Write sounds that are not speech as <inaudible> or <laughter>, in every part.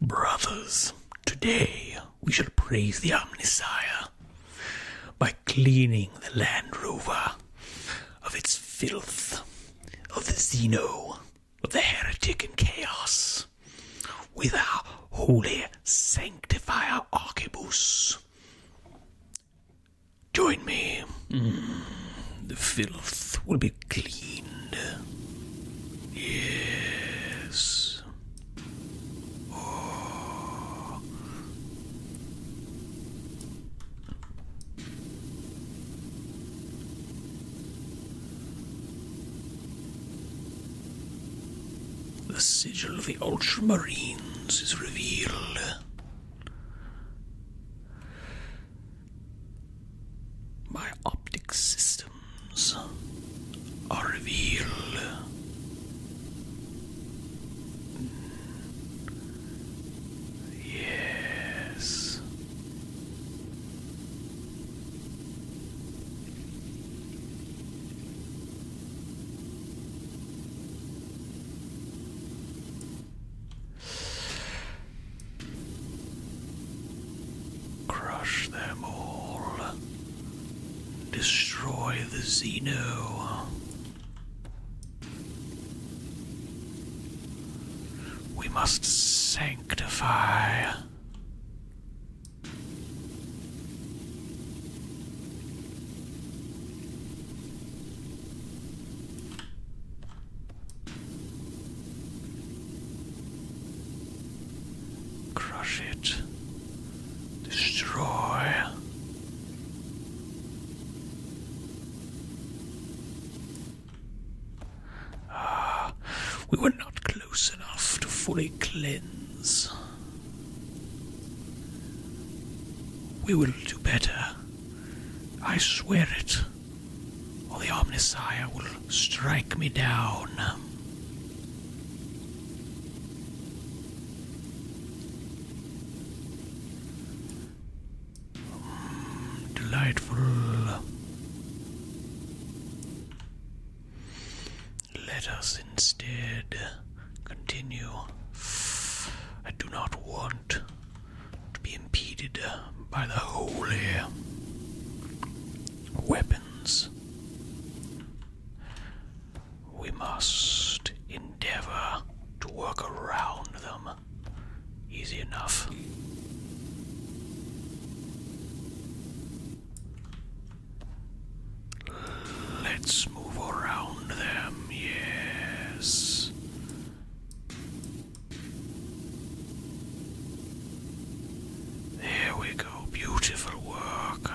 Brothers, today we shall praise the Omnissiah by cleaning the Land Rover of its filth, of the Zeno, of the heretic and chaos, with our holy sanctifier Archibus. Join me. Mm, the filth will be clean. Yes. The sigil of the Ultramarines is revealed. My optic system items are revealed. Yes. Crush them all. Destroy the Xeno. We must sanctify. Crush it. Destroy. Ah, we were not close enough to fully cleanse. We will do better. I swear it. Or the Omnissiah will strike me down. delightful. Let us instead continue. I do not want to be impeded by the holy weapon. We must endeavor to work around them. Easy enough. Let's move around them, yes. There we go, beautiful work.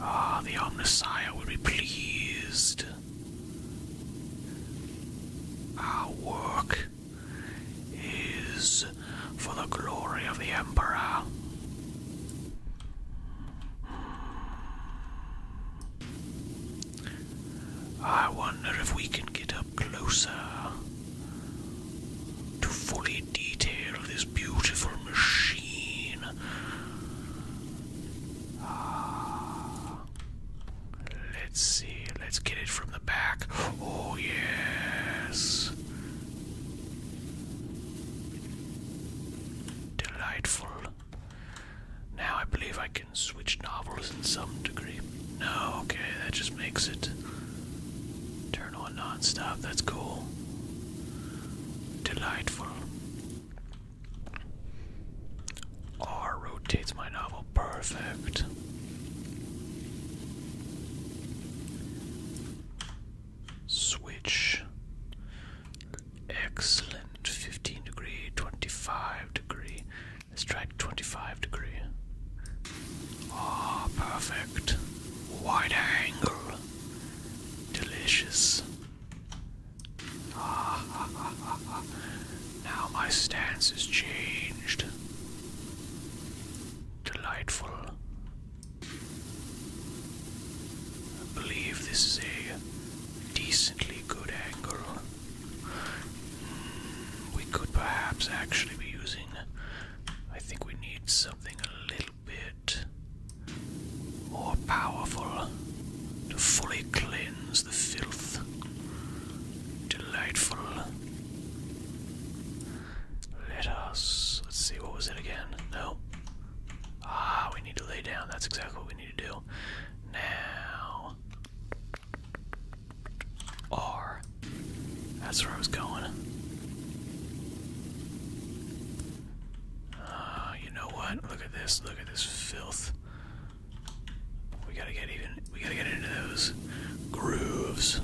Ah, the Omnisire will be pleased. Our work is for the glory of the Emperor. I wonder if we can get a closer to fully detail this beautiful machine. Ah, let's see, let's get it from the back. Oh, yes. Delightful. Now I believe I can switch novels in some degree. No, okay, that just makes it. Turn iron non-stop. That's cool. Delightful. R rotates my novel. Perfect. Switch. Excellent. 15 degree, 25 degree. Let's try 25 degree. Ah, perfect. Wide angle. Delicious. Ah, <laughs> Now my stance has changed. Delightful. I believe this is a decently good angle. Hmm, we could perhaps actually be using I think we need something a little bit more powerful to fully cleanse the filth. Delightful. Let us. Let's see, what was it again? No. Ah, we need to lay down. That's exactly what we need to do. Now. R. That's where I was going. Ah, you know what? Look at this. Look at this filth. We gotta get even. We gotta get into those grooves.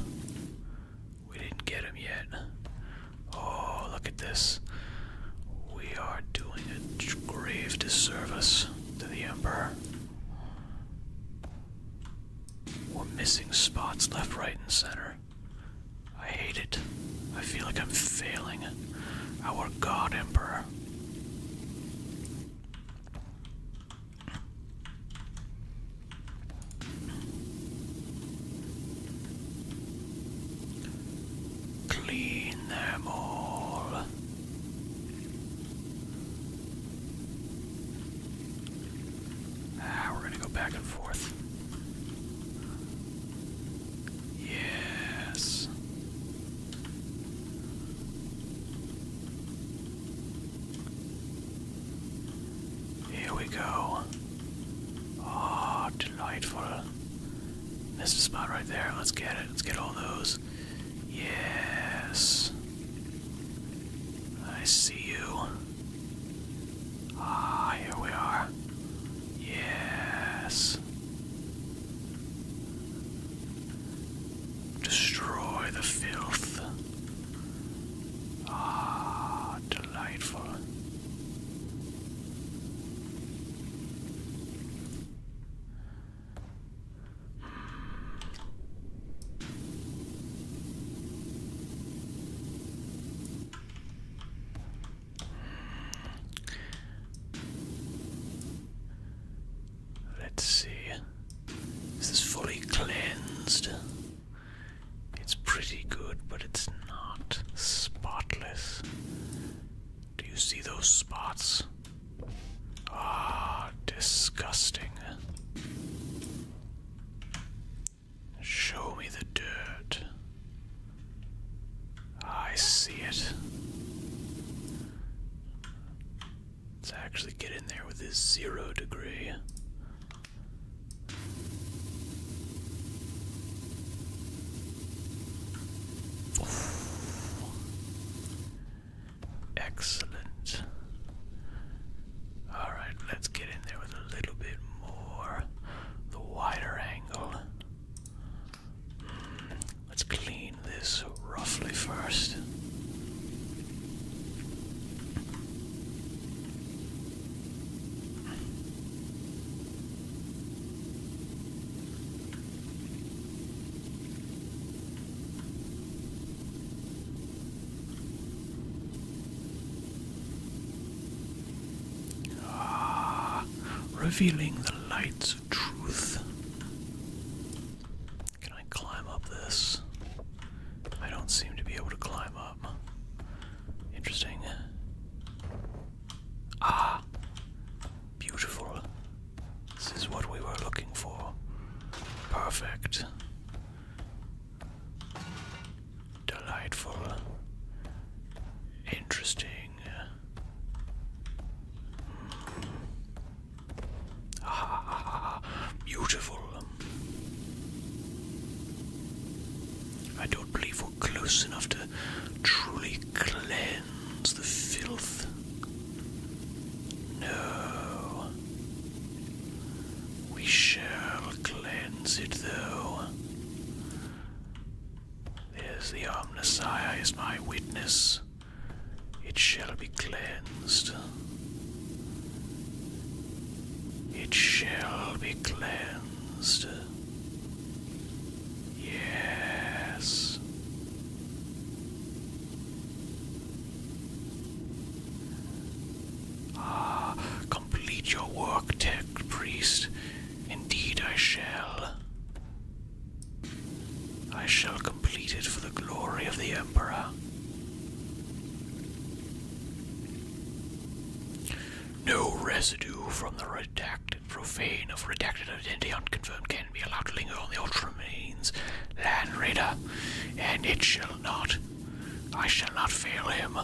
We didn't get them yet. Oh, look at this. We are doing a grave disservice to the Emperor. We're missing spots left, right, and center. I hate it. I feel like I'm failing. Our God Emperor. Clean them all. Ah, we're gonna go back and forth. Yes. Here we go. Ah, delightful. That's spot right there. Let's get it. Let's get all those. Yes. I see you. Ah, here we are. Yes. Destroy the filth. Ah, delightful. Let's see. Is this fully cleansed? It's pretty good, but it's not spotless. Do you see those spots? Ah, disgusting. Show me the dirt. I see it. Let's actually get in there with this zero degree. Excellent. Alright, let's get in there with a little bit more. The wider angle. Hmm, let's clean this roughly first. Ah, revealing the lights of truth. Can I climb up this? I don't seem to be able to climb up. Interesting. Ah, beautiful. This is what we were looking for. Perfect delightful, interesting. beautiful. I don't believe we're close enough to truly cleanse the filth. No. We shall cleanse it, though. As the Omnissiah is my witness. It shall be cleansed. It shall be cleansed. Yes. Ah, Complete your work, tech priest. Indeed, I shall. I shall complete it for the glory of the Emperor. No residue from the redacted profane of redacted identity unconfirmed can be allowed to linger on the ultra Land Raider, and it shall not I shall not fail him.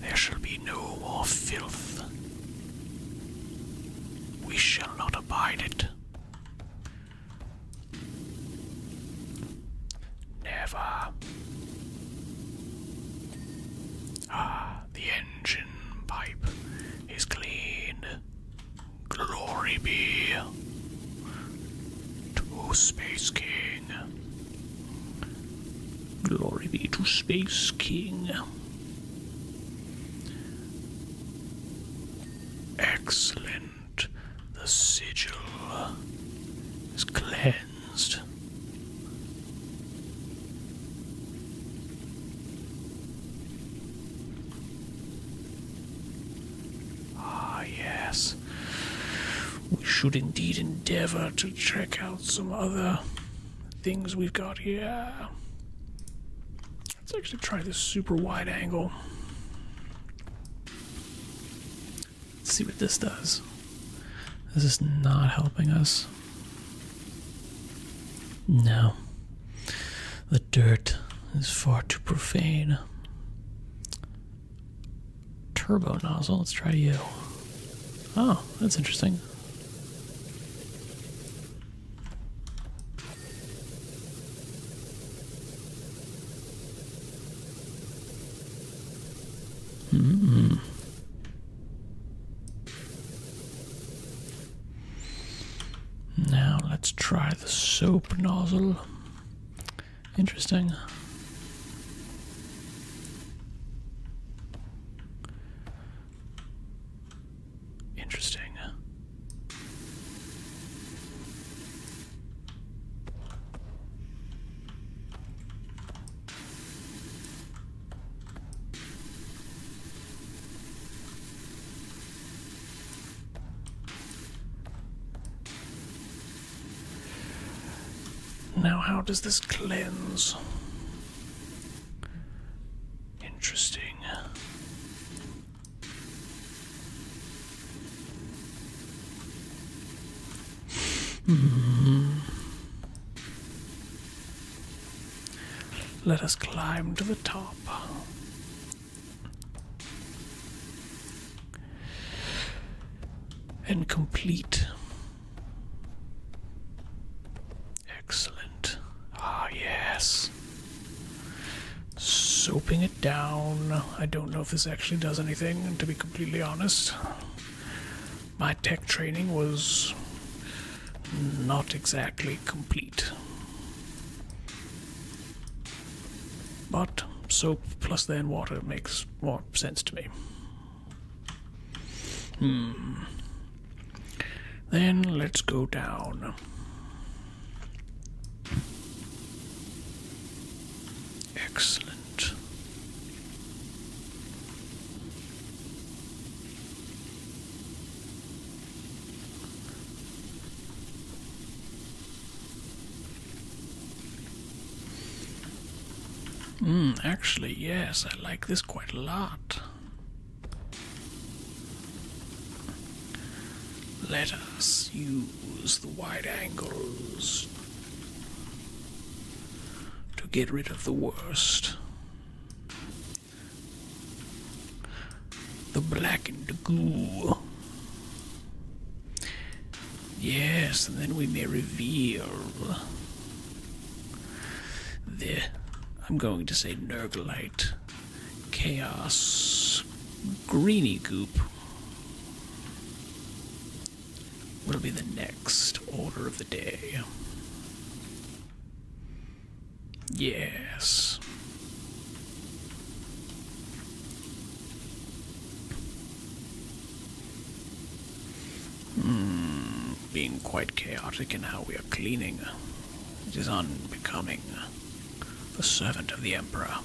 There shall be no more filth. We shall not abide it. Never. Ah, the engine pipe is clean. Glory be to Space King. Glory be to Space King. Excellent. The sigil is cleansed. Ah, yes. We should indeed endeavor to check out some other things we've got here. Let's actually try this super wide angle. Let's see what this does. This is not helping us. No. The dirt is far too profane. Turbo nozzle, let's try you. Oh, that's interesting. -hmm. Now let's try the soap nozzle. Interesting. Interesting. Now, how does this cleanse? Interesting. Hmm. Let us climb to the top and complete. Excellent. Ah, yes. Soaping it down. I don't know if this actually does anything, to be completely honest. My tech training was not exactly complete. But soap plus then water makes more sense to me. Hmm. Then let's go down. Excellent. Hmm, actually, yes, I like this quite a lot. Let us use the wide angles to get rid of the worst. The black and the goo. Yes, and then we may reveal the I'm going to say Nergalite Chaos Greeny Goop. will be the next order of the day? Yes. Mm, being quite chaotic in how we are cleaning. It is unbecoming. The servant of the Emperor.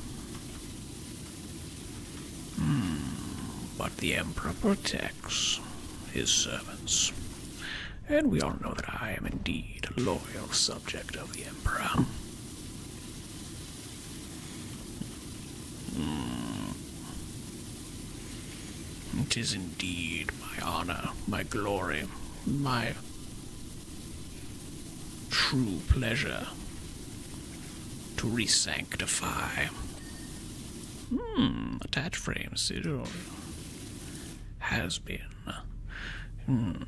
Mm, but the Emperor protects his servants. And we all know that I am indeed a loyal son. Object of the Emperor. Hmm. It is indeed my honor, my glory, my true pleasure to resanctify. Hmm, attach frame sigil has been. Hmm,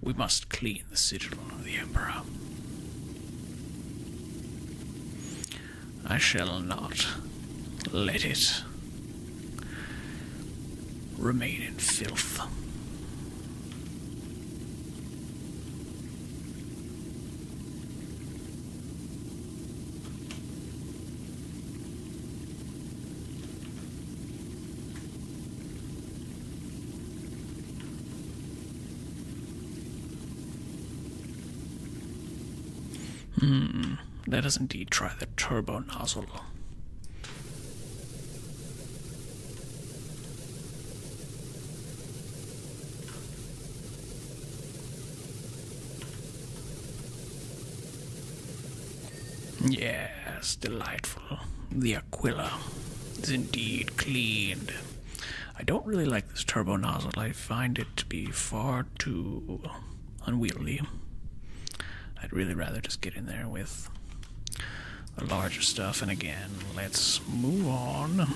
we must clean the citadel of the Emperor. I shall not let it remain in filth. Hmm, let us indeed try the turbo nozzle. Yes, delightful. The Aquila is indeed cleaned. I don't really like this turbo nozzle. I find it to be far too unwieldy. I'd really rather just get in there with the larger stuff. And again, let's move on.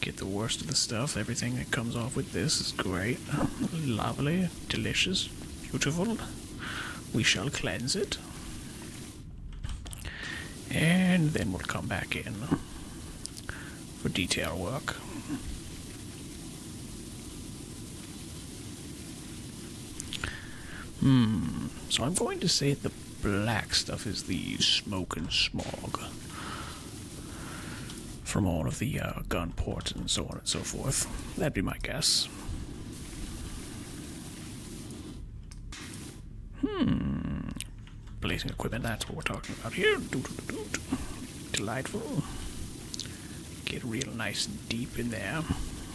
Get the worst of the stuff, everything that comes off with this is great. Lovely, delicious, beautiful. We shall cleanse it. And then we'll come back in for detail work. Hmm, so I'm going to say the black stuff is the smoke and smog from all of the uh, gun ports and so on and so forth. That'd be my guess. Hmm. Blazing equipment, that's what we're talking about here. Delightful. Get real nice and deep in there.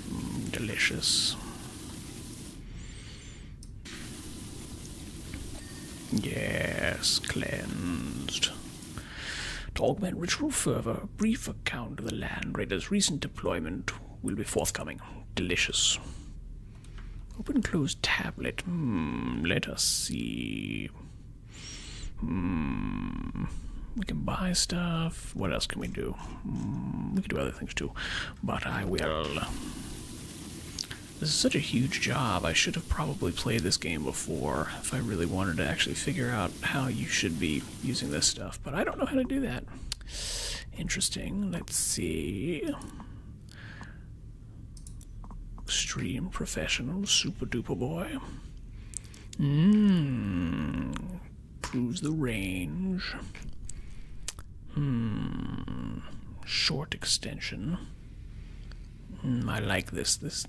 Mm, delicious. Yes, cleansed. To augment ritual fervor, a brief account of the land raiders' recent deployment will be forthcoming. Delicious. Open close tablet. Hmm, let us see. Hmm. We can buy stuff. What else can we do? Hmm, we can do other things too. But I will. This is such a huge job. I should have probably played this game before if I really wanted to actually figure out how you should be using this stuff, but I don't know how to do that. Interesting. Let's see. Extreme professional super duper boy. Mmm. Proves the range. Hmm. Short extension. Mm, I like this. This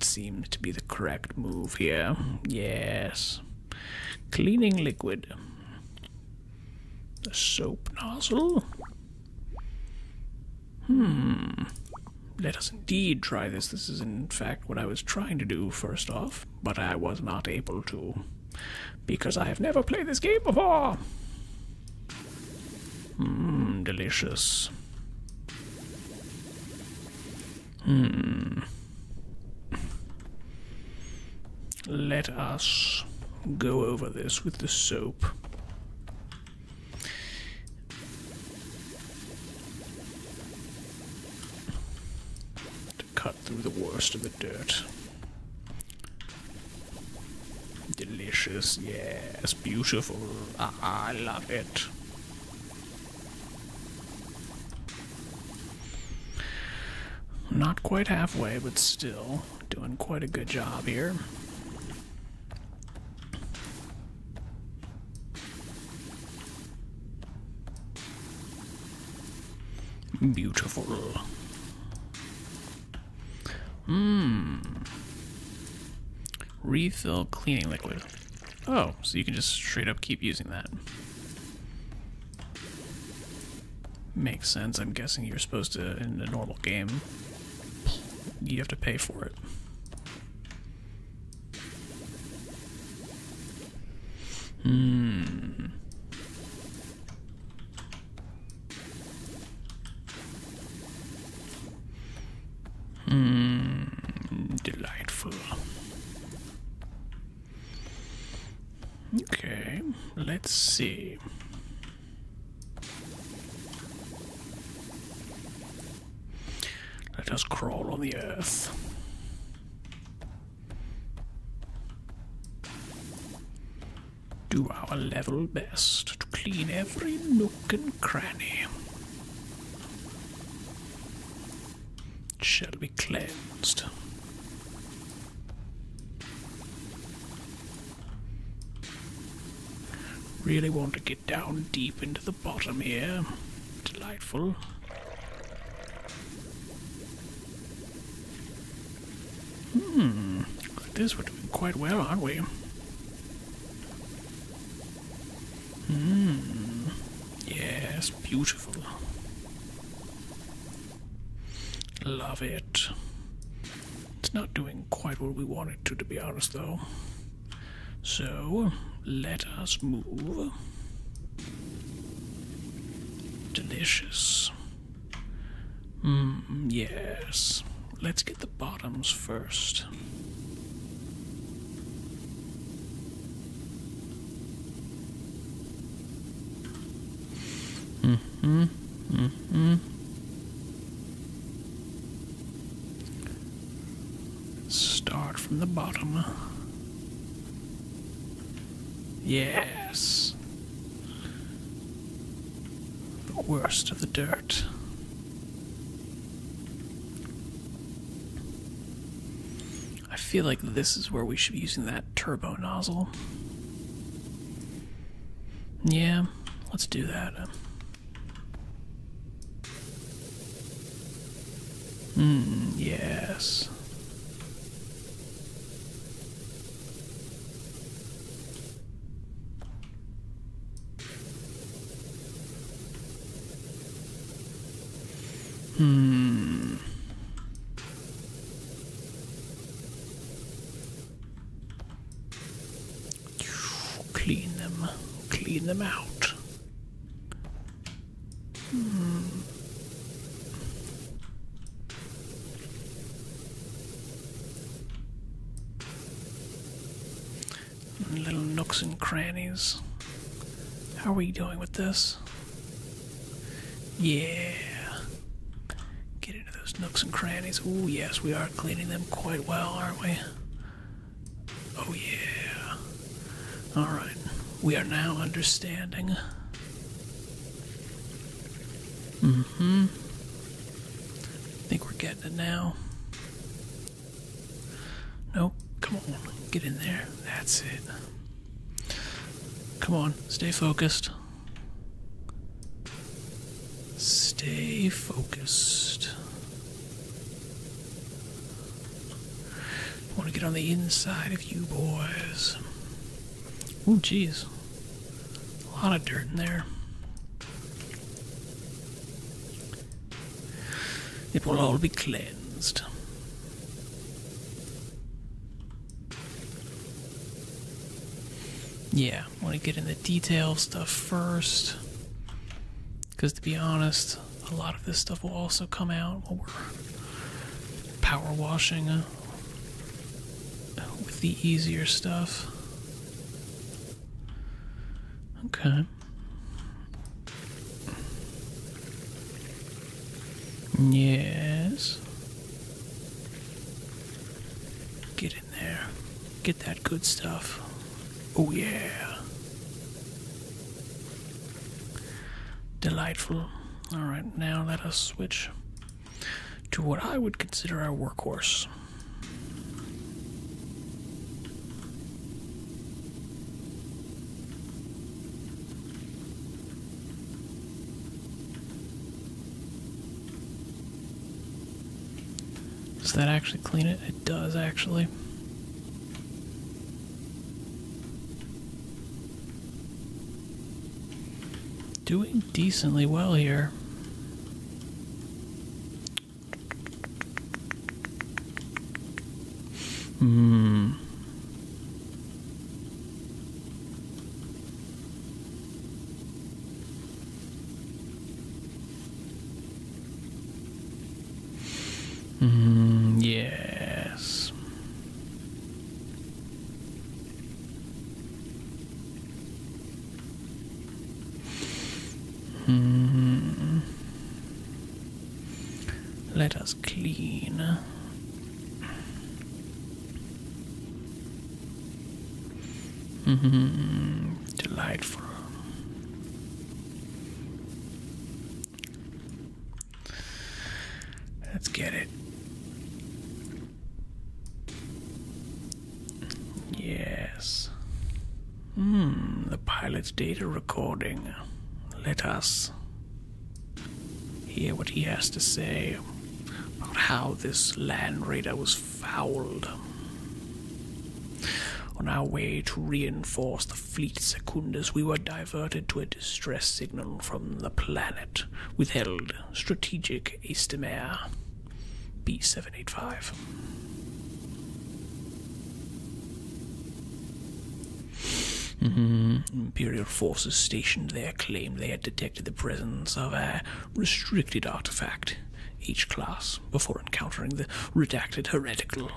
seems to be the correct move here. Yes. Cleaning liquid. The soap nozzle. Hmm. Let us indeed try this. This is, in fact, what I was trying to do first off, but I was not able to. Because I have never played this game before! Mmm, delicious. Hmm. Let us go over this with the soap. To cut through the worst of the dirt. Delicious, yes, beautiful. Ah, I love it. Not quite halfway, but still doing quite a good job here. Beautiful. Mmm. Refill cleaning liquid. Oh, so you can just straight up keep using that. Makes sense. I'm guessing you're supposed to, in a normal game, you have to pay for it. Hmm. Mm, delightful. Okay, let's see. Let us crawl on the earth. Do our level best to clean every nook and cranny shall be cleansed. Really want to get down deep into the bottom here. Delightful. Hmm. this, we're doing quite well, aren't we? Mm. Yes, beautiful. Love it. It's not doing quite what we want it to, to be honest, though. So, let us move. Delicious. Mmm, yes. Let's get the bottoms first. 1st hmm Mm-hmm. Start from the bottom. Yes. The worst of the dirt. I feel like this is where we should be using that turbo nozzle. Yeah, let's do that. Mm, yes. Hmm. Clean them, clean them out. Hmm little nooks and crannies. How are we doing with this? Yeah. Get into those nooks and crannies. Oh, yes, we are cleaning them quite well, aren't we? Oh, yeah. Alright, we are now understanding. Mm hmm. I think we're getting it now. Nope. Come on. Get in there. That's it. Come on. Stay focused. Stay focused. Want to get on the inside of you boys. Ooh, jeez. A lot of dirt in there. It will all be cleansed. Yeah, want to get in the detail stuff first. Because to be honest, a lot of this stuff will also come out while we're power washing uh, with the easier stuff. Okay. Yes. Get in there. Get that good stuff. Oh, yeah. Delightful. Alright, now let us switch to what I would consider our workhorse. Does that actually clean it? It does actually. Doing decently well here. Hmm. Mm, yes. Mm. Let us clean. Mm -hmm. Delightful. Let's get it. Yes. Hmm, the pilot's data recording. Let us hear what he has to say about how this land radar was fouled. On our way to reinforce the fleet Secundus, we were diverted to a distress signal from the planet, withheld strategic Astemare B785. Mm-hmm. Imperial forces stationed there claimed they had detected the presence of a restricted artifact, each class, before encountering the redacted heretical.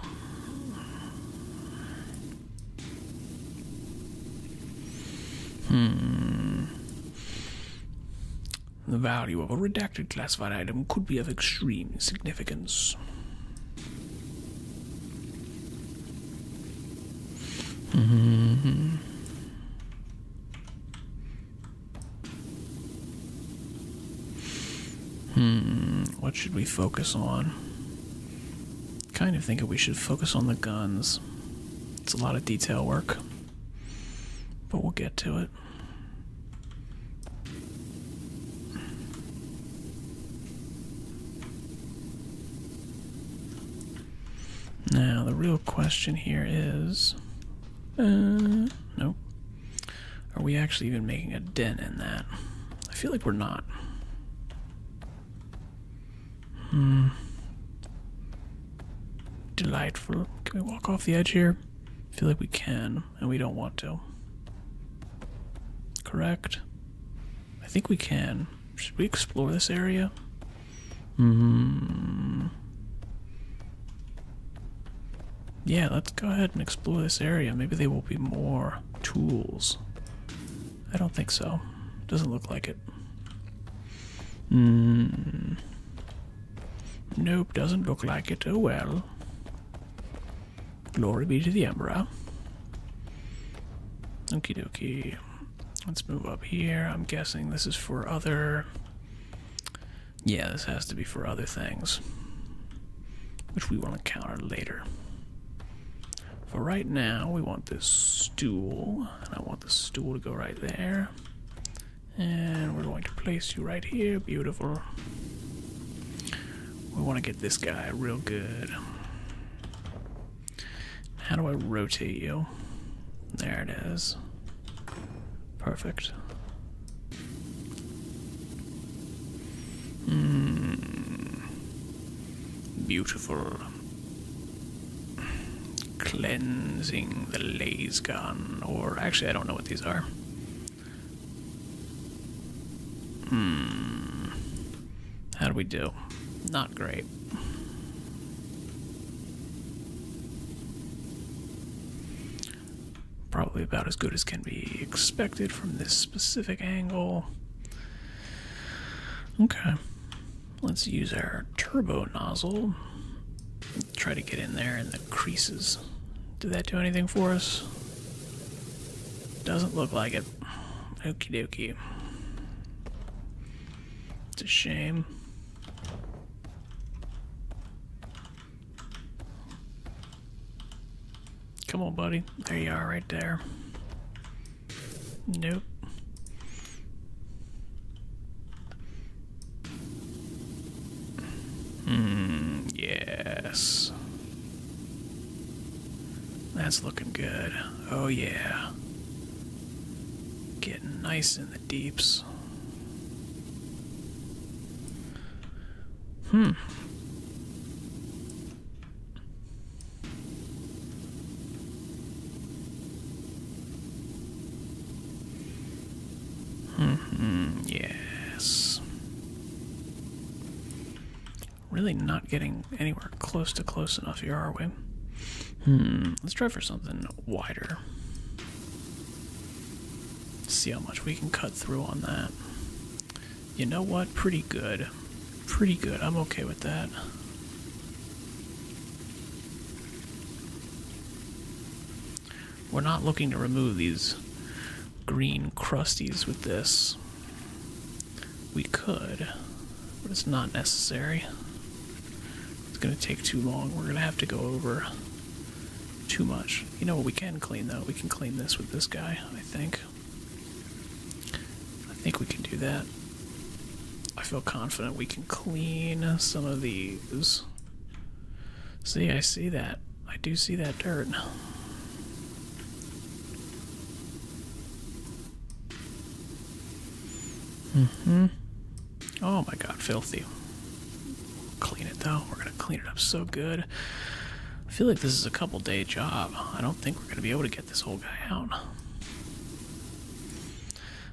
Hmm. The value of a redacted classified item could be of extreme significance hmm Hmm, what should we focus on? Kind of thinking we should focus on the guns. It's a lot of detail work, but we'll get to it. Now, the real question here is uh, nope. Are we actually even making a dent in that? I feel like we're not. Hmm. Delightful. Can we walk off the edge here? I feel like we can, and we don't want to. Correct? I think we can. Should we explore this area? Hmm. Yeah, let's go ahead and explore this area. Maybe there will be more tools. I don't think so. Doesn't look like it. Hmm. Nope, doesn't look like it. Oh well. Glory be to the Emperor. Okie dokie. Let's move up here. I'm guessing this is for other. Yeah, this has to be for other things. Which we will encounter later. For right now, we want this stool. And I want the stool to go right there. And we're going to place you right here. Beautiful. We want to get this guy real good. How do I rotate you? There it is. Perfect. Hmm. Beautiful. Cleansing the laser gun, or actually, I don't know what these are. Hmm. How do we do? Not great. Probably about as good as can be expected from this specific angle. Okay. Let's use our turbo nozzle. Try to get in there in the creases. Did that do anything for us? Doesn't look like it. Okie dokie. It's a shame. Come on, buddy. There you are, right there. Nope. Hmm, yes. That's looking good. Oh, yeah. Getting nice in the deeps. Hmm. -hmm, yes. Really not getting anywhere close to close enough here, are we? Hmm, let's try for something wider. See how much we can cut through on that. You know what? Pretty good. Pretty good. I'm okay with that. We're not looking to remove these green crusties with this. We could, but it's not necessary. It's gonna take too long. We're gonna have to go over too much. You know what we can clean though? We can clean this with this guy, I think. I think we can do that. I feel confident we can clean some of these. See, I see that. I do see that dirt hmm Oh my god, filthy. Clean it though. We're gonna clean it up so good. I feel like this is a couple day job. I don't think we're gonna be able to get this whole guy out.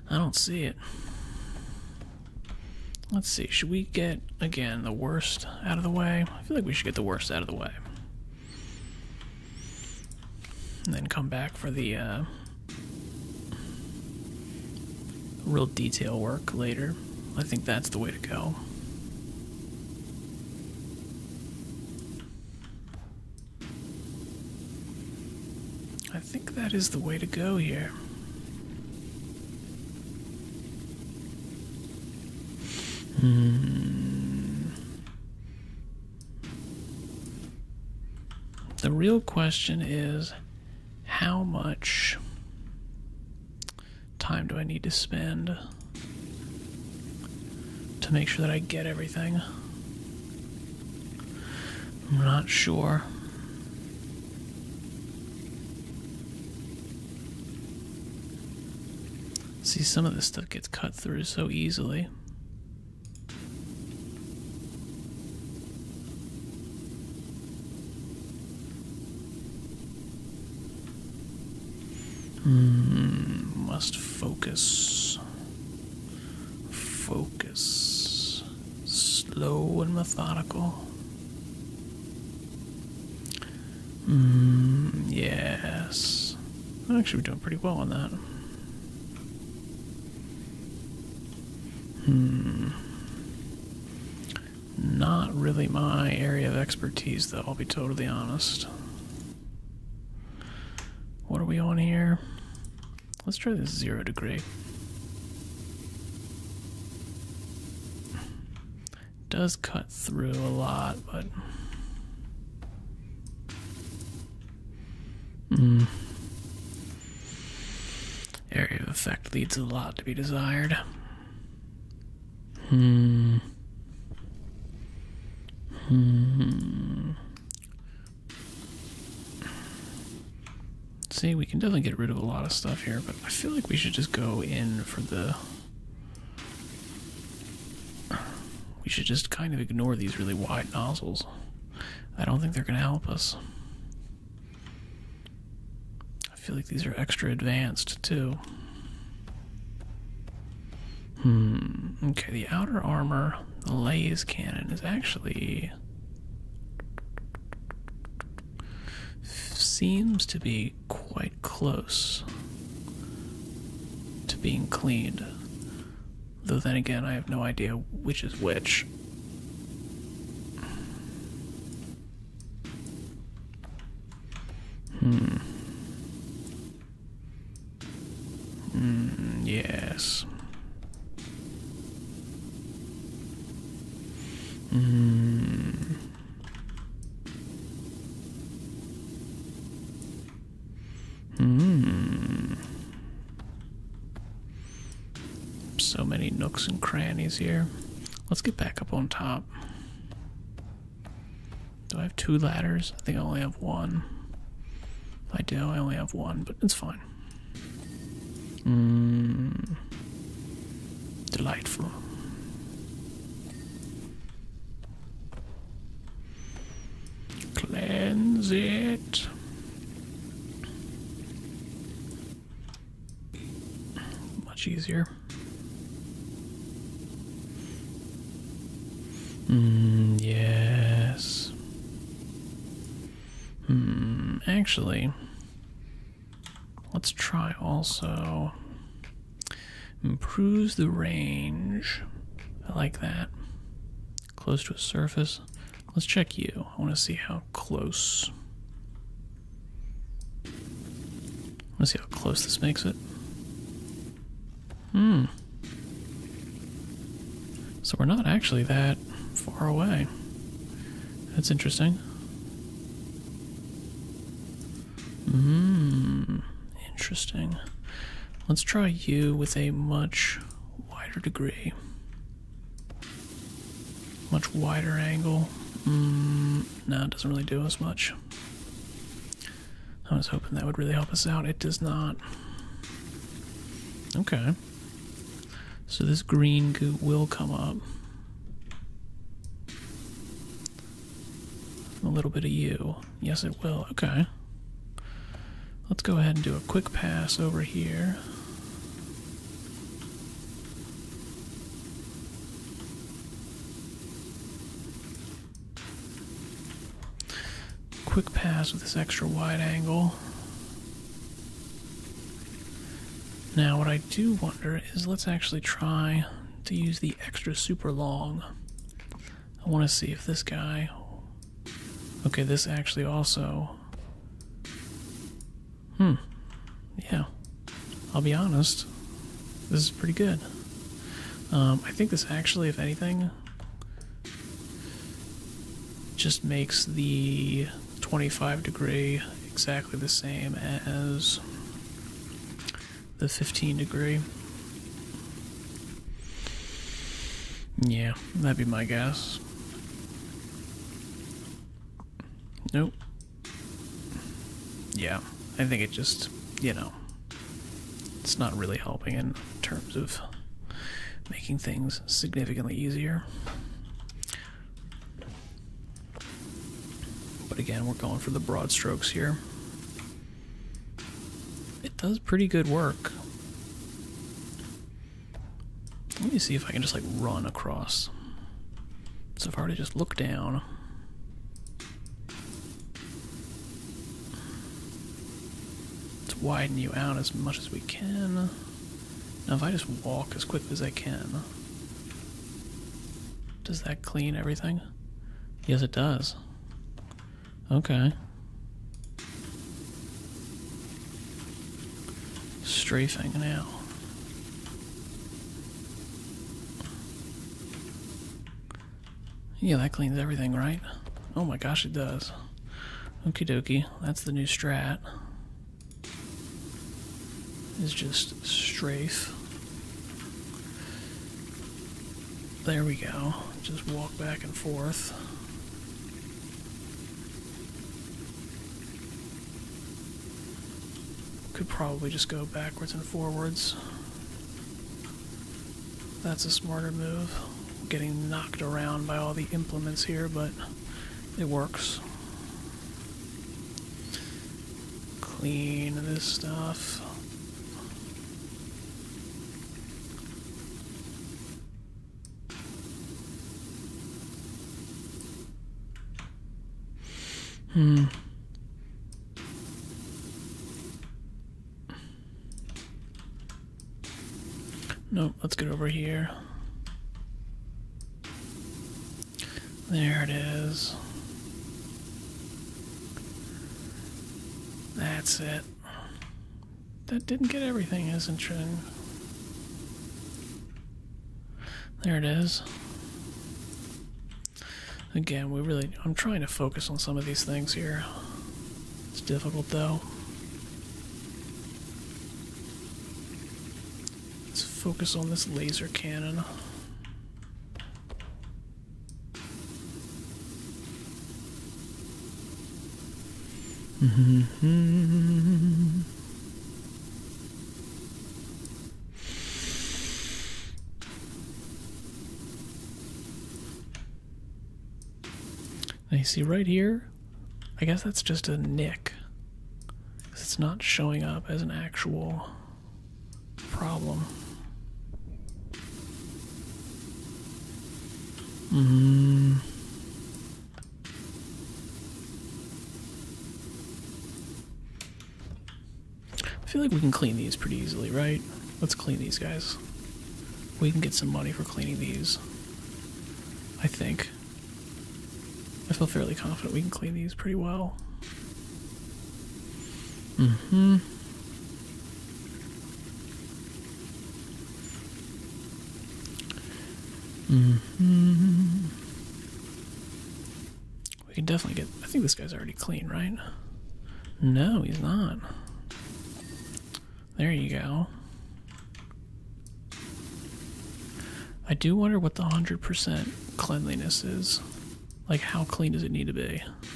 I don't see it. Let's see, should we get, again, the worst out of the way? I feel like we should get the worst out of the way and then come back for the uh, real detail work later. I think that's the way to go. I think that is the way to go here. Hmm. The real question is how much time do I need to spend to make sure that I get everything? I'm not sure. See, some of this stuff gets cut through so easily. Hmm, must focus. Focus. Slow and methodical. Mm, yes. Actually, we're doing pretty well on that. Hmm. Not really my area of expertise, though, I'll be totally honest. What are we on here? Let's try this zero degree does cut through a lot, but. Hmm. Area of effect leads a lot to be desired. Hmm. Hmm. See, we can definitely get rid of a lot of stuff here, but I feel like we should just go in for the we should just kind of ignore these really wide nozzles. I don't think they're going to help us. I feel like these are extra advanced, too. Hmm. Okay, the outer armor, the Lays cannon, is actually. Seems to be quite close to being cleaned. Though then again, I have no idea which is which. Hmm. Mm, yes. Mm. Hmm. So many nooks and crannies here. Let's get back up on top. Do I have two ladders? I think I only have one. I do, I only have one, but it's fine. Mm. Delightful. Cleanse it. Much easier. Hmm, yes. Hmm, actually, let's try also Improves the range. I like that. Close to a surface. Let's check you. I want to see how close. Let's see how close this makes it. Hmm. So we're not actually that far away. That's interesting. Mm, interesting. Let's try you with a much wider degree. Much wider angle. Mm, no, it doesn't really do as much. I was hoping that would really help us out. It does not. Okay. So this green goo will come up. A little bit of you. Yes, it will. Okay. Let's go ahead and do a quick pass over here. Quick pass with this extra wide angle. Now, what I do wonder is let's actually try to use the extra super long. I want to see if this guy. Okay, this actually also. Hmm. Yeah. I'll be honest. This is pretty good. Um, I think this actually, if anything, just makes the 25 degree exactly the same as the 15 degree. Yeah, that'd be my guess. Nope. Yeah, I think it just, you know, it's not really helping in terms of making things significantly easier. But again, we're going for the broad strokes here. It does pretty good work. Let me see if I can just like run across. So if I were to just look down. Let's widen you out as much as we can. Now if I just walk as quick as I can, does that clean everything? Yes, it does. Okay. Strafing now. Yeah, that cleans everything, right? Oh my gosh, it does. Okie dokie, that's the new strat. It's just strafe. There we go. Just walk back and forth. Could probably just go backwards and forwards. That's a smarter move. Getting knocked around by all the implements here, but it works. Clean this stuff. Hmm. Nope, let's get over here. There it is. That's it. That didn't get everything, isn't it? There it is. Again, we really. I'm trying to focus on some of these things here. It's difficult though. Let's focus on this laser cannon. Now mm-hmm. you see right here, I guess that's just a nick. It's not showing up as an actual problem. Mm. I feel like we can clean these pretty easily, right? Let's clean these guys. We can get some money for cleaning these. I think. I feel fairly confident we can clean these pretty well. Mm hmm -hmm. We can definitely get. I think this guy's already clean, right? No, he's not. There you go. I do wonder what the 100% cleanliness is. Like, how clean does it need to be? I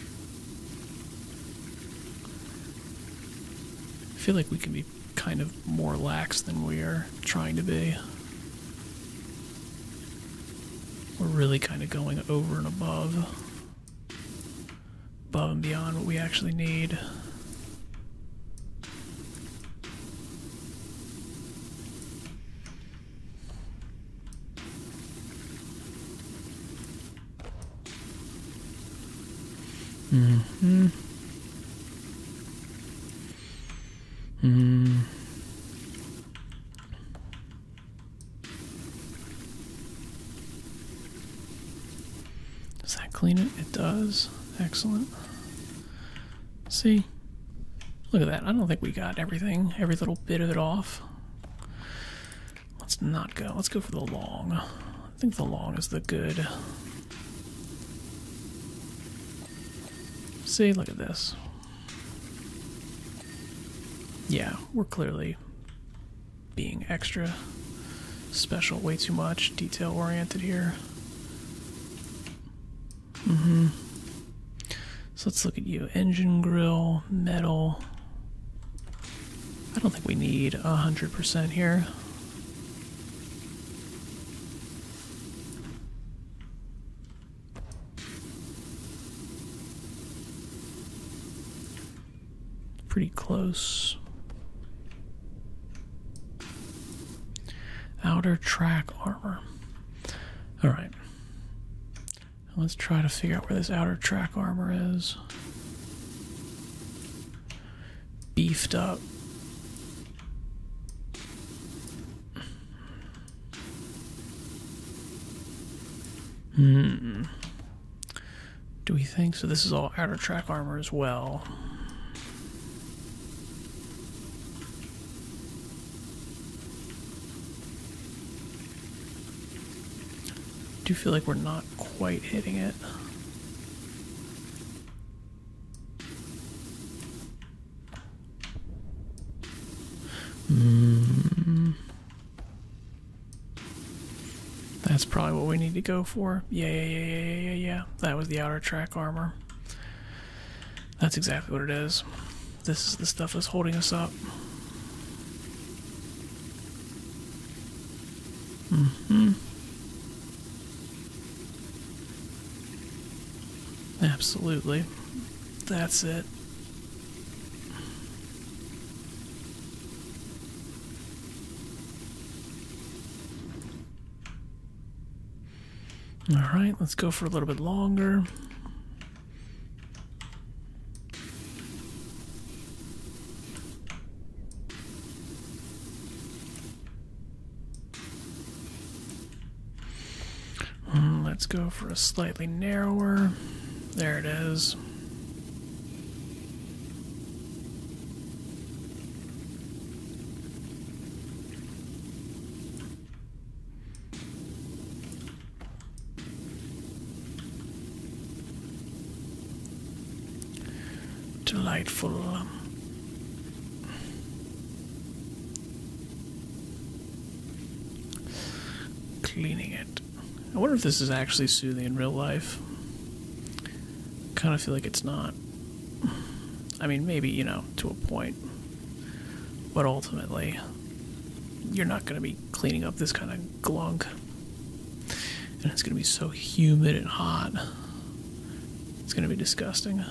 feel like we can be kind of more lax than we are trying to be. We're really kind of going over and above. Above and beyond what we actually need. Mm-hmm. Does that clean it? It does. Excellent. See? Look at that. I don't think we got everything, every little bit of it off. Let's not go. Let's go for the long. I think the long is the good. See, look at this. Yeah, we're clearly being extra special, way too much, detail oriented here. Mm hmm. So let's look at you. Engine grill, metal. I don't think we need 100% here. Pretty close. Outer track armor. Alright. Let's try to figure out where this outer track armor is. Beefed up. Hmm. Do we think so? This is all outer track armor as well. do you feel like we're not quite hitting it. Hmm. That's probably what we need to go for. yeah, yeah, yeah, yeah, yeah. That was the outer track armor. That's exactly what it is. This is the stuff that's holding us up. Mm-hmm. Absolutely. That's it. All right, let's go for a little bit longer. Mm, let's go for a slightly narrower. There it is. Delightful. Um, cleaning it. I wonder if this is actually soothing in real life. Kind of feel like it's not. I mean, maybe, you know, to a point. But ultimately, you're not going to be cleaning up this kind of glunk. And it's going to be so humid and hot. It's going to be disgusting.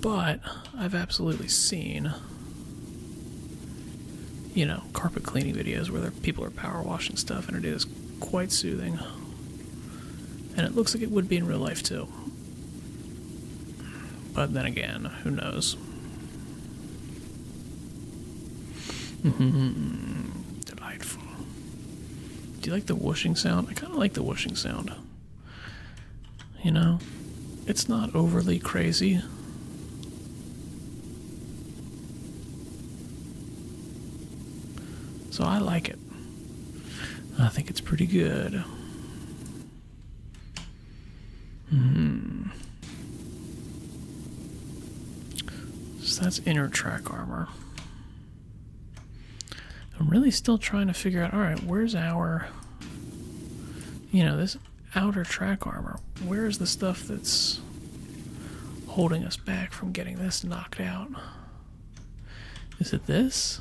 But I've absolutely seen, you know, carpet cleaning videos where people are power washing stuff, and it is quite soothing. And it looks like it would be in real life, too. But then again, who knows? Mm-hmm. Delightful. Do you like the whooshing sound? I kind of like the whooshing sound. You know, it's not overly crazy. So I like it. I think it's pretty good. Hmm. So that's inner track armor. I'm really still trying to figure out, all right, where's our, you know, this outer track armor? Where's the stuff that's holding us back from getting this knocked out? Is it this?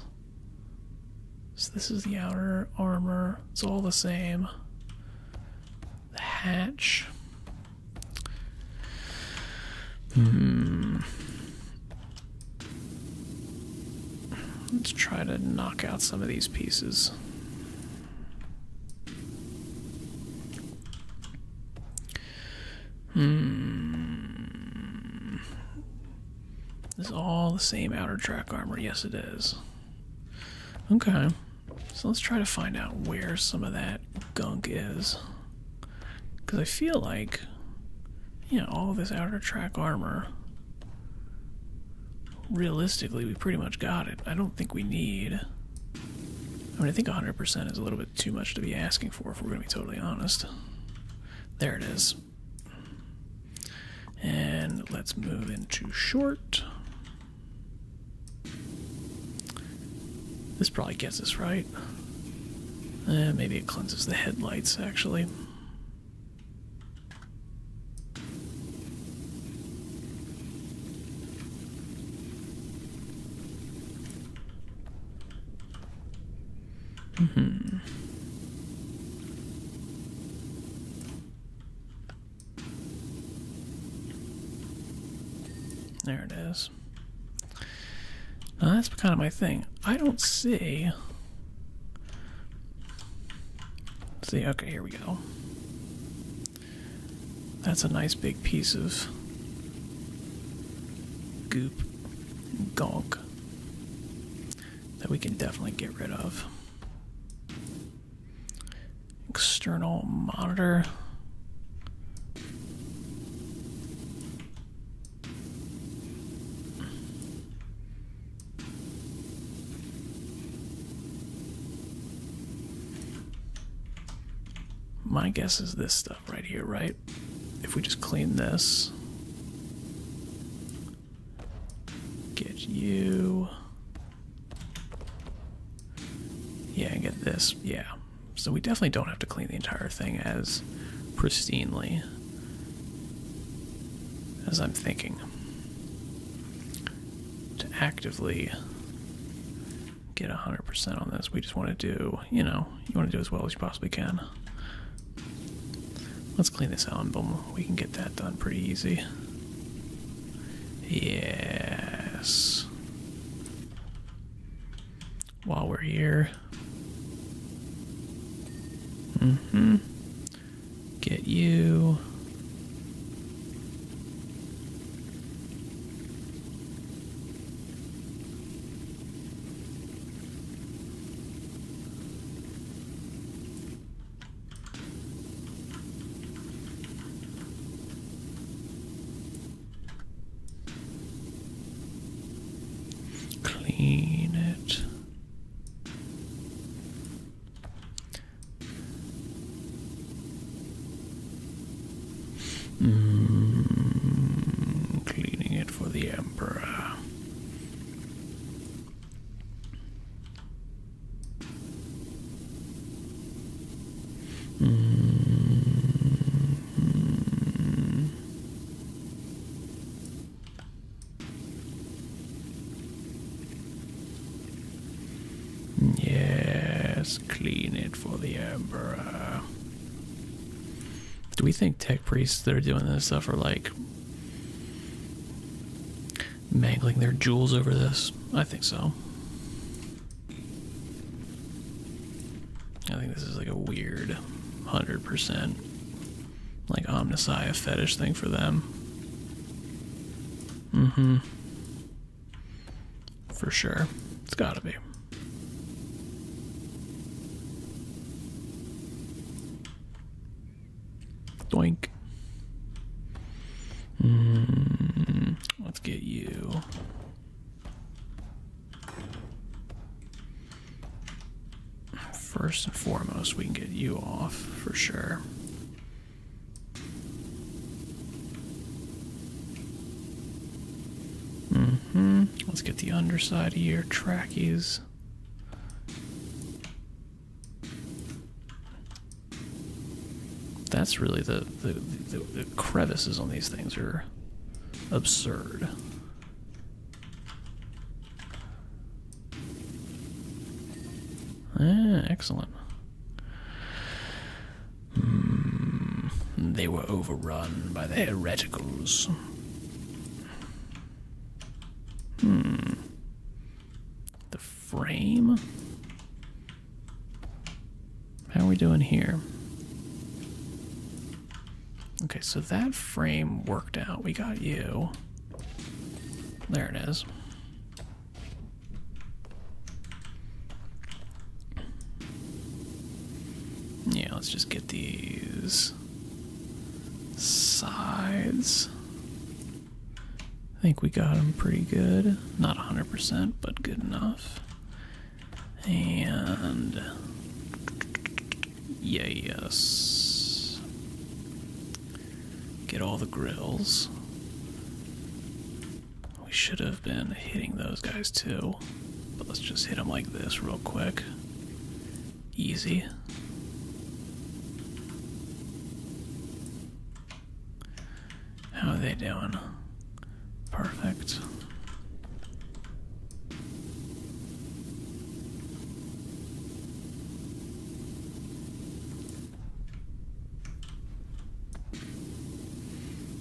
So this is the outer armor. It's all the same the hatch. Hmm. Let's try to knock out some of these pieces. This hmm. is all the same outer track armor. Yes, it is. Okay. So let's try to find out where some of that gunk is. Because I feel like, yeah, all this outer track armor, realistically, we pretty much got it. I don't think we need. I mean, I think 100% is a little bit too much to be asking for, if we're going to be totally honest. There it is. And let's move into short. This probably gets us right. Eh, maybe it cleanses the headlights, actually. Mm hmm. There it is. that's kind of my thing. I don't see. see, okay, here we go. That's a nice big piece of goop, gunk that we can definitely get rid of external monitor. My guess is this stuff right here, right? If we just clean this, get you yeah, and get this. Yeah. So we definitely don't have to clean the entire thing as pristinely as I'm thinking. To actively get 100% on this, we just want to do, you know, you want to do as well as you possibly can. Let's clean this out. Boom, We can get that done pretty easy. Yes. While we're here. Mm-hmm. Get you. Clean it. Mm, cleaning it for the Emperor. Mm. Yes, clean it for the Emperor. Do we think tech priests that are doing this stuff are like mangling their jewels over this? I think so. I think this is like a weird 100% like omnisci fetish thing for them. Mm hmm. For sure. It's gotta be. Doink. Mm, let's get you. First and foremost, we can get you off for sure. Mm hmm Let's get the underside of your trackies. That's really the the, the crevices on these things are absurd. Ah, excellent. Hmm, they were overrun by the hereticals. Hmm. The frame? How are we doing here? Okay, so that frame worked out. We got you. There it is. Yeah, let's just get these sides. I think we got them pretty good. Not 100%, but good enough. And yeah, yes, get all the grills. We should have been hitting those guys too, but let's just hit them like this real quick. Easy. How are they doing? Perfect.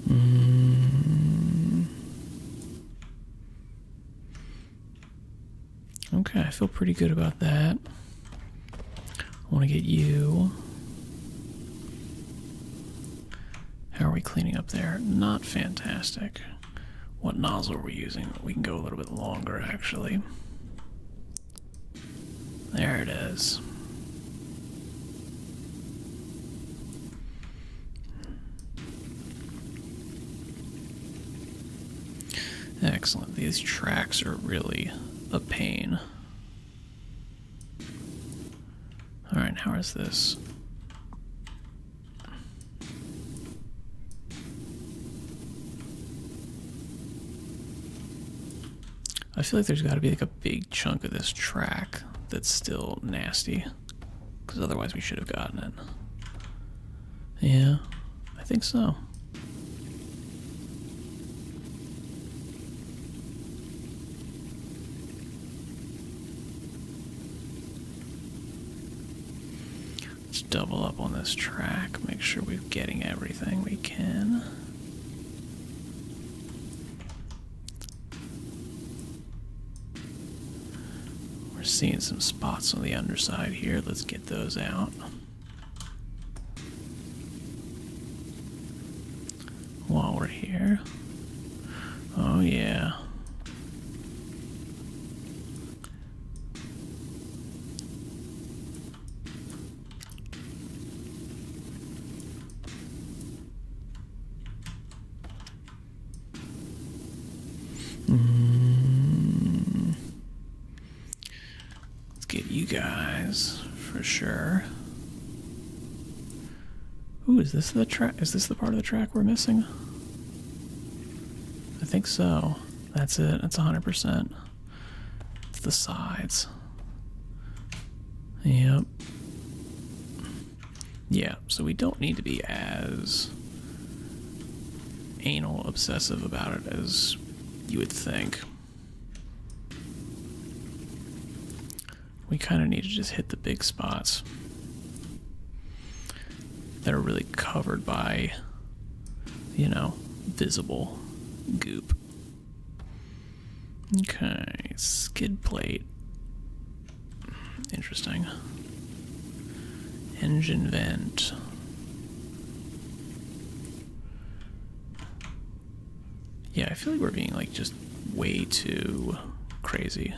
Mm. Okay, I feel pretty good about that. I want to get you. How are we cleaning up there? Not fantastic. What nozzle are we using? We can go a little bit longer actually. There it is. Excellent. These tracks are really a pain. All right, how is this? I feel like there's got to be like a big chunk of this track that's still nasty, because otherwise we should have gotten it. Yeah, I think so. Let's double up on this track, make sure we're getting everything we can. We're seeing some spots on the underside here. Let's get those out while we're here. Oh, yeah. Mm-hmm. Let's get you guys for sure. Ooh, is this the track? Is this the part of the track we're missing? I think so. That's it. That's 100%. It's the sides. Yep. Yeah, so we don't need to be as anal obsessive about it as you would think. We kind of need to just hit the big spots that are really covered by, you know, visible goop. Okay, skid plate. Interesting. Engine vent. Yeah, I feel like we're being like just way too crazy.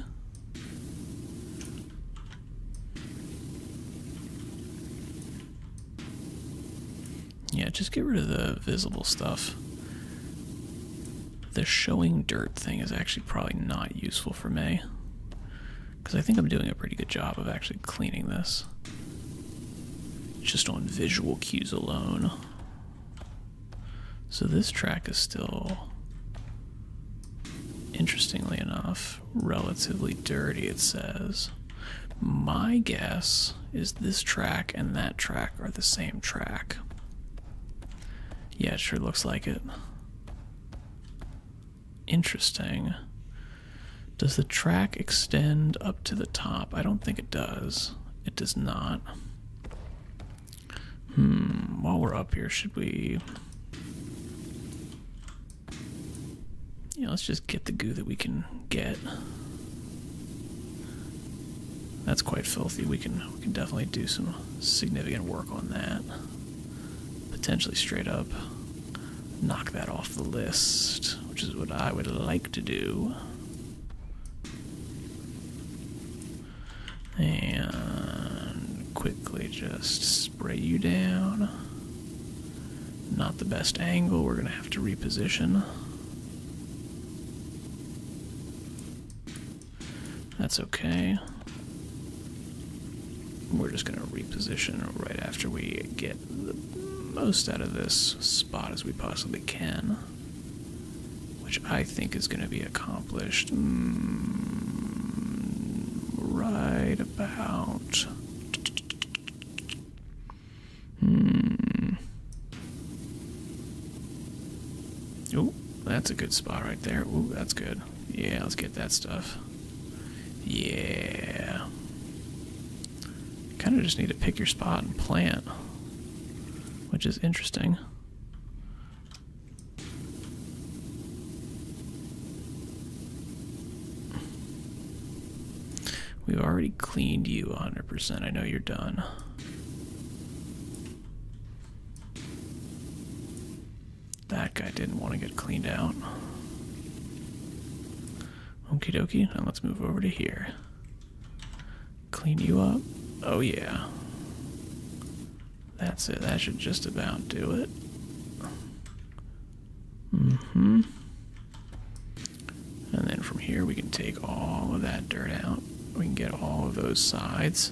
Yeah, just get rid of the visible stuff. The showing dirt thing is actually probably not useful for me. Because I think I'm doing a pretty good job of actually cleaning this. Just on visual cues alone. So this track is still, interestingly enough, relatively dirty, it says. My guess is this track and that track are the same track. Yeah, it sure looks like it. Interesting. Does the track extend up to the top? I don't think it does. It does not. Hmm, while we're up here, should we. Yeah, let's just get the goo that we can get. That's quite filthy. We can we can definitely do some significant work on that. Potentially straight up knock that off the list, which is what I would like to do. And quickly just spray you down. Not the best angle, we're going to have to reposition. That's okay. We're just going to reposition right after we get the most out of this spot as we possibly can which I think is going to be accomplished hmm, right about. Hmm. Oh, that's a good spot right there. Ooh, that's good. Yeah, let's get that stuff. Yeah. Kind of just need to pick your spot and plant, which is interesting. We've already cleaned you 100%. I know you're done. That guy didn't want to get cleaned out. Okie dokie, now let's move over to here. Clean you up. Oh, yeah. That's it. That should just about do it. hmm. And then from here, we can take all of that dirt out. We can get all of those sides.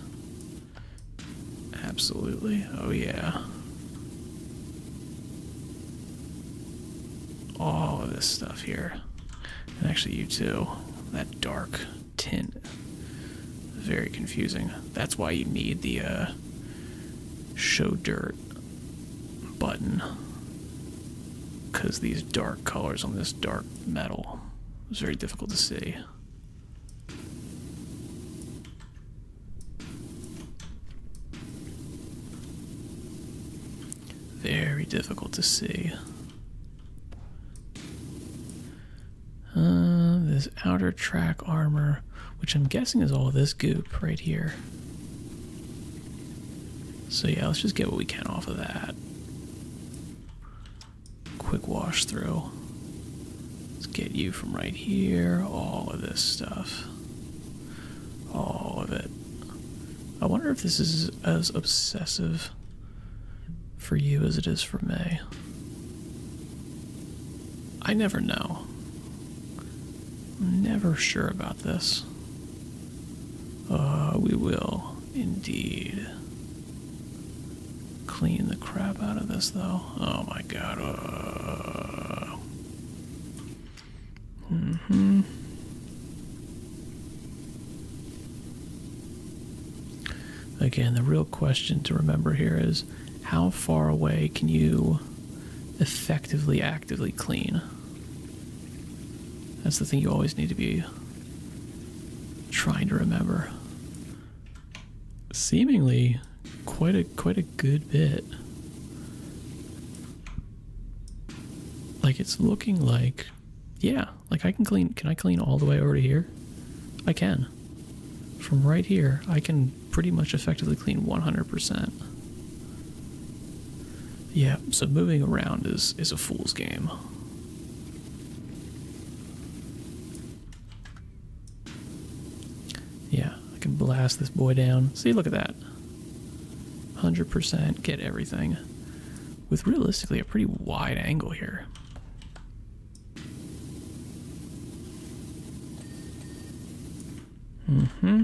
Absolutely. Oh, yeah. All of this stuff here. And actually, you too. That dark tint. Very confusing. That's why you need the uh, show dirt button. Because these dark colors on this dark metal is very difficult to see. Very difficult to see. Uh, this outer track armor, which I'm guessing is all this goop right here. So yeah, let's just get what we can off of that. Quick wash through. Let's get you from right here, all of this stuff. All of it. I wonder if this is as obsessive for you as it is for me. I never know. I'm never sure about this. Uh, we will indeed clean the crap out of this, though. Oh my god. Uh... hmm. Again, the real question to remember here is how far away can you effectively, actively clean? That's the thing you always need to be trying to remember. Seemingly quite a quite a good bit. Like it's looking like yeah, like I can clean, can I clean all the way over to here? I can. From right here, I can pretty much effectively clean 100%. Yeah, so moving around is, is a fool's game. Yeah, I can blast this boy down. See, look at that. 100% get everything. With realistically a pretty wide angle here. Mm-hmm.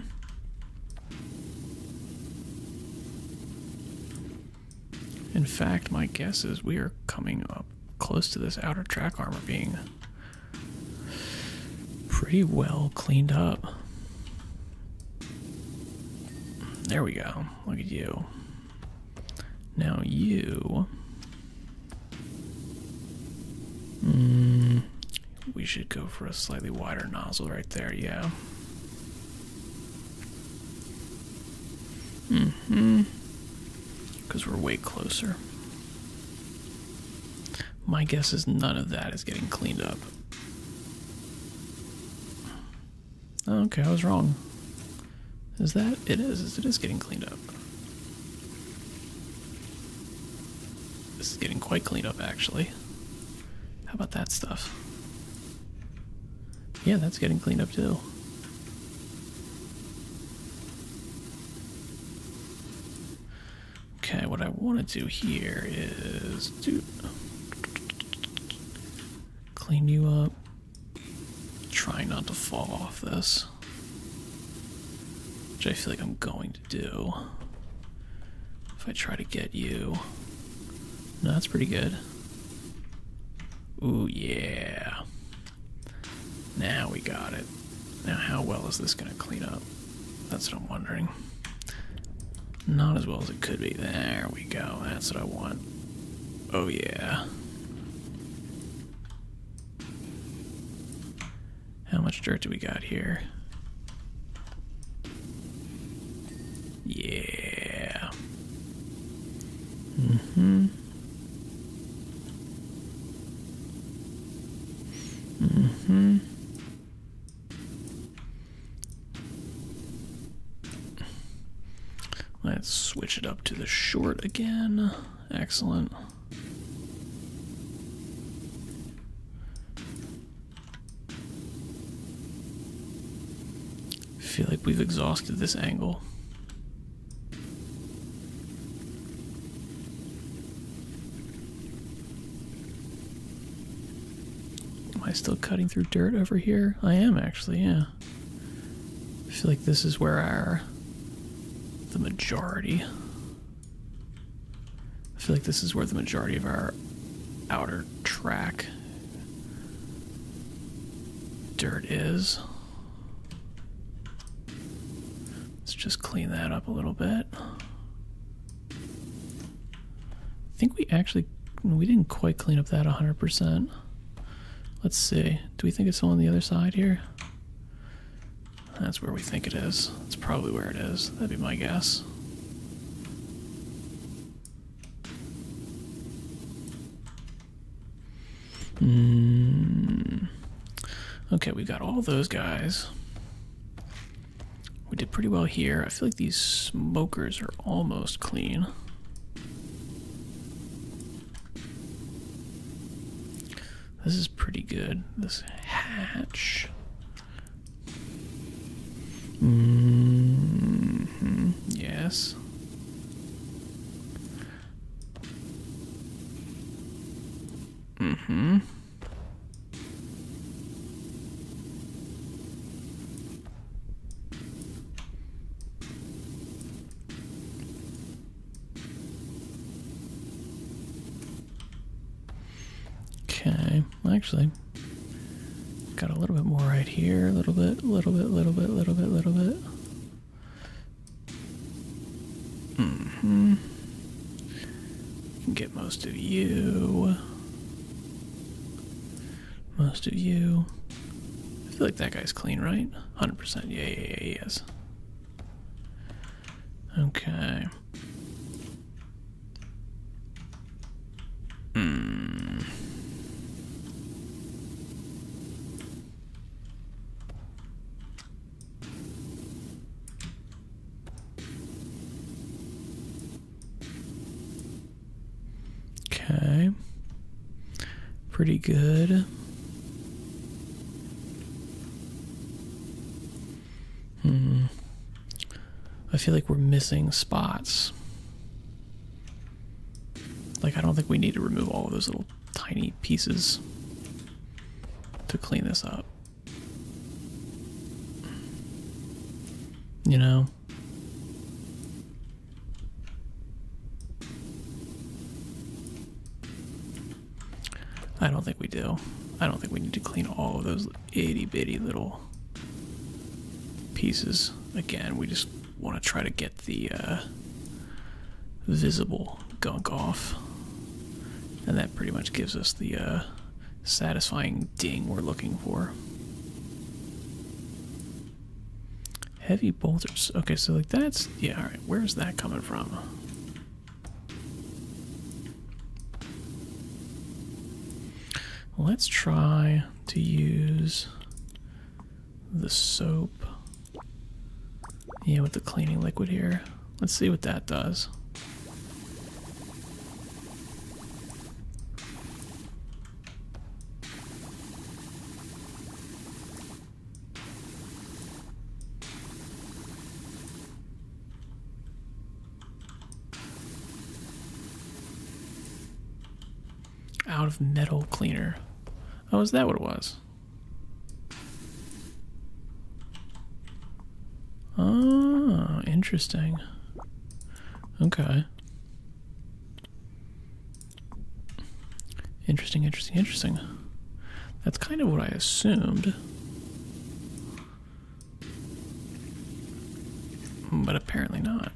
In fact, my guess is we are coming up close to this outer track armor being pretty well cleaned up. There we go. Look at you. Now you. Hmm, we should go for a slightly wider nozzle right there, yeah. hmm. Because we're way closer. My guess is none of that is getting cleaned up. Okay, I was wrong. Is that? It is. It is getting cleaned up. This is getting quite cleaned up, actually. How about that stuff? Yeah, that's getting cleaned up, too. Okay, what I want to do here is do clean you up, Try not to fall off this. Which I feel like I'm going to do. If I try to get you. that's pretty good. Ooh, yeah. Now we got it. Now, how well is this going to clean up? That's what I'm wondering. Not as well as it could be. There we go. That's what I want. Oh yeah. How much dirt do we got here? Yeah. Mm-hmm. Mm-hmm. Let's switch it up to the short again. Excellent. I feel like we've exhausted this angle. Am I still cutting through dirt over here? I am actually, yeah. I feel like this is where our the majority. I feel like this is where the majority of our outer track dirt is. Let's just clean that up a little bit. I think we actually, we didn't quite clean up that 100%. Let's see. Do we think it's on the other side here? That's where we think it is. That's probably where it is. That'd be my guess. Hmm. Okay, we got all those guys. We did pretty well here. I feel like these smokers are almost clean. This is pretty good. This hatch. -hmm. Yes. Mm hmm. Okay, actually, got a little bit more right here, a little bit, A little bit, A little bit, A little bit, A little bit. Mm hmm Get most of you. Most of you. I feel like that guy's clean, right? 100%. Yeah, yeah, yeah, he is. Okay. Hmm. Okay. Pretty good. Hmm. I feel like we're missing spots. Like, I don't think we need to remove all of those little tiny pieces to clean this up. You know? I don't think we do. I don't think we need to clean all of those itty bitty little pieces. Again, we just want to try to get the uh, visible gunk off. And that pretty much gives us the uh, satisfying ding we're looking for. Heavy boulders. Okay, so like that's yeah, alright, where's that coming from? Let's try to use the soap. Yeah, with the cleaning liquid here. Let's see what that does. Out of metal cleaner. Oh, is that what it was? Oh, interesting. Okay. Interesting, interesting, interesting. That's kind of what I assumed. But apparently not.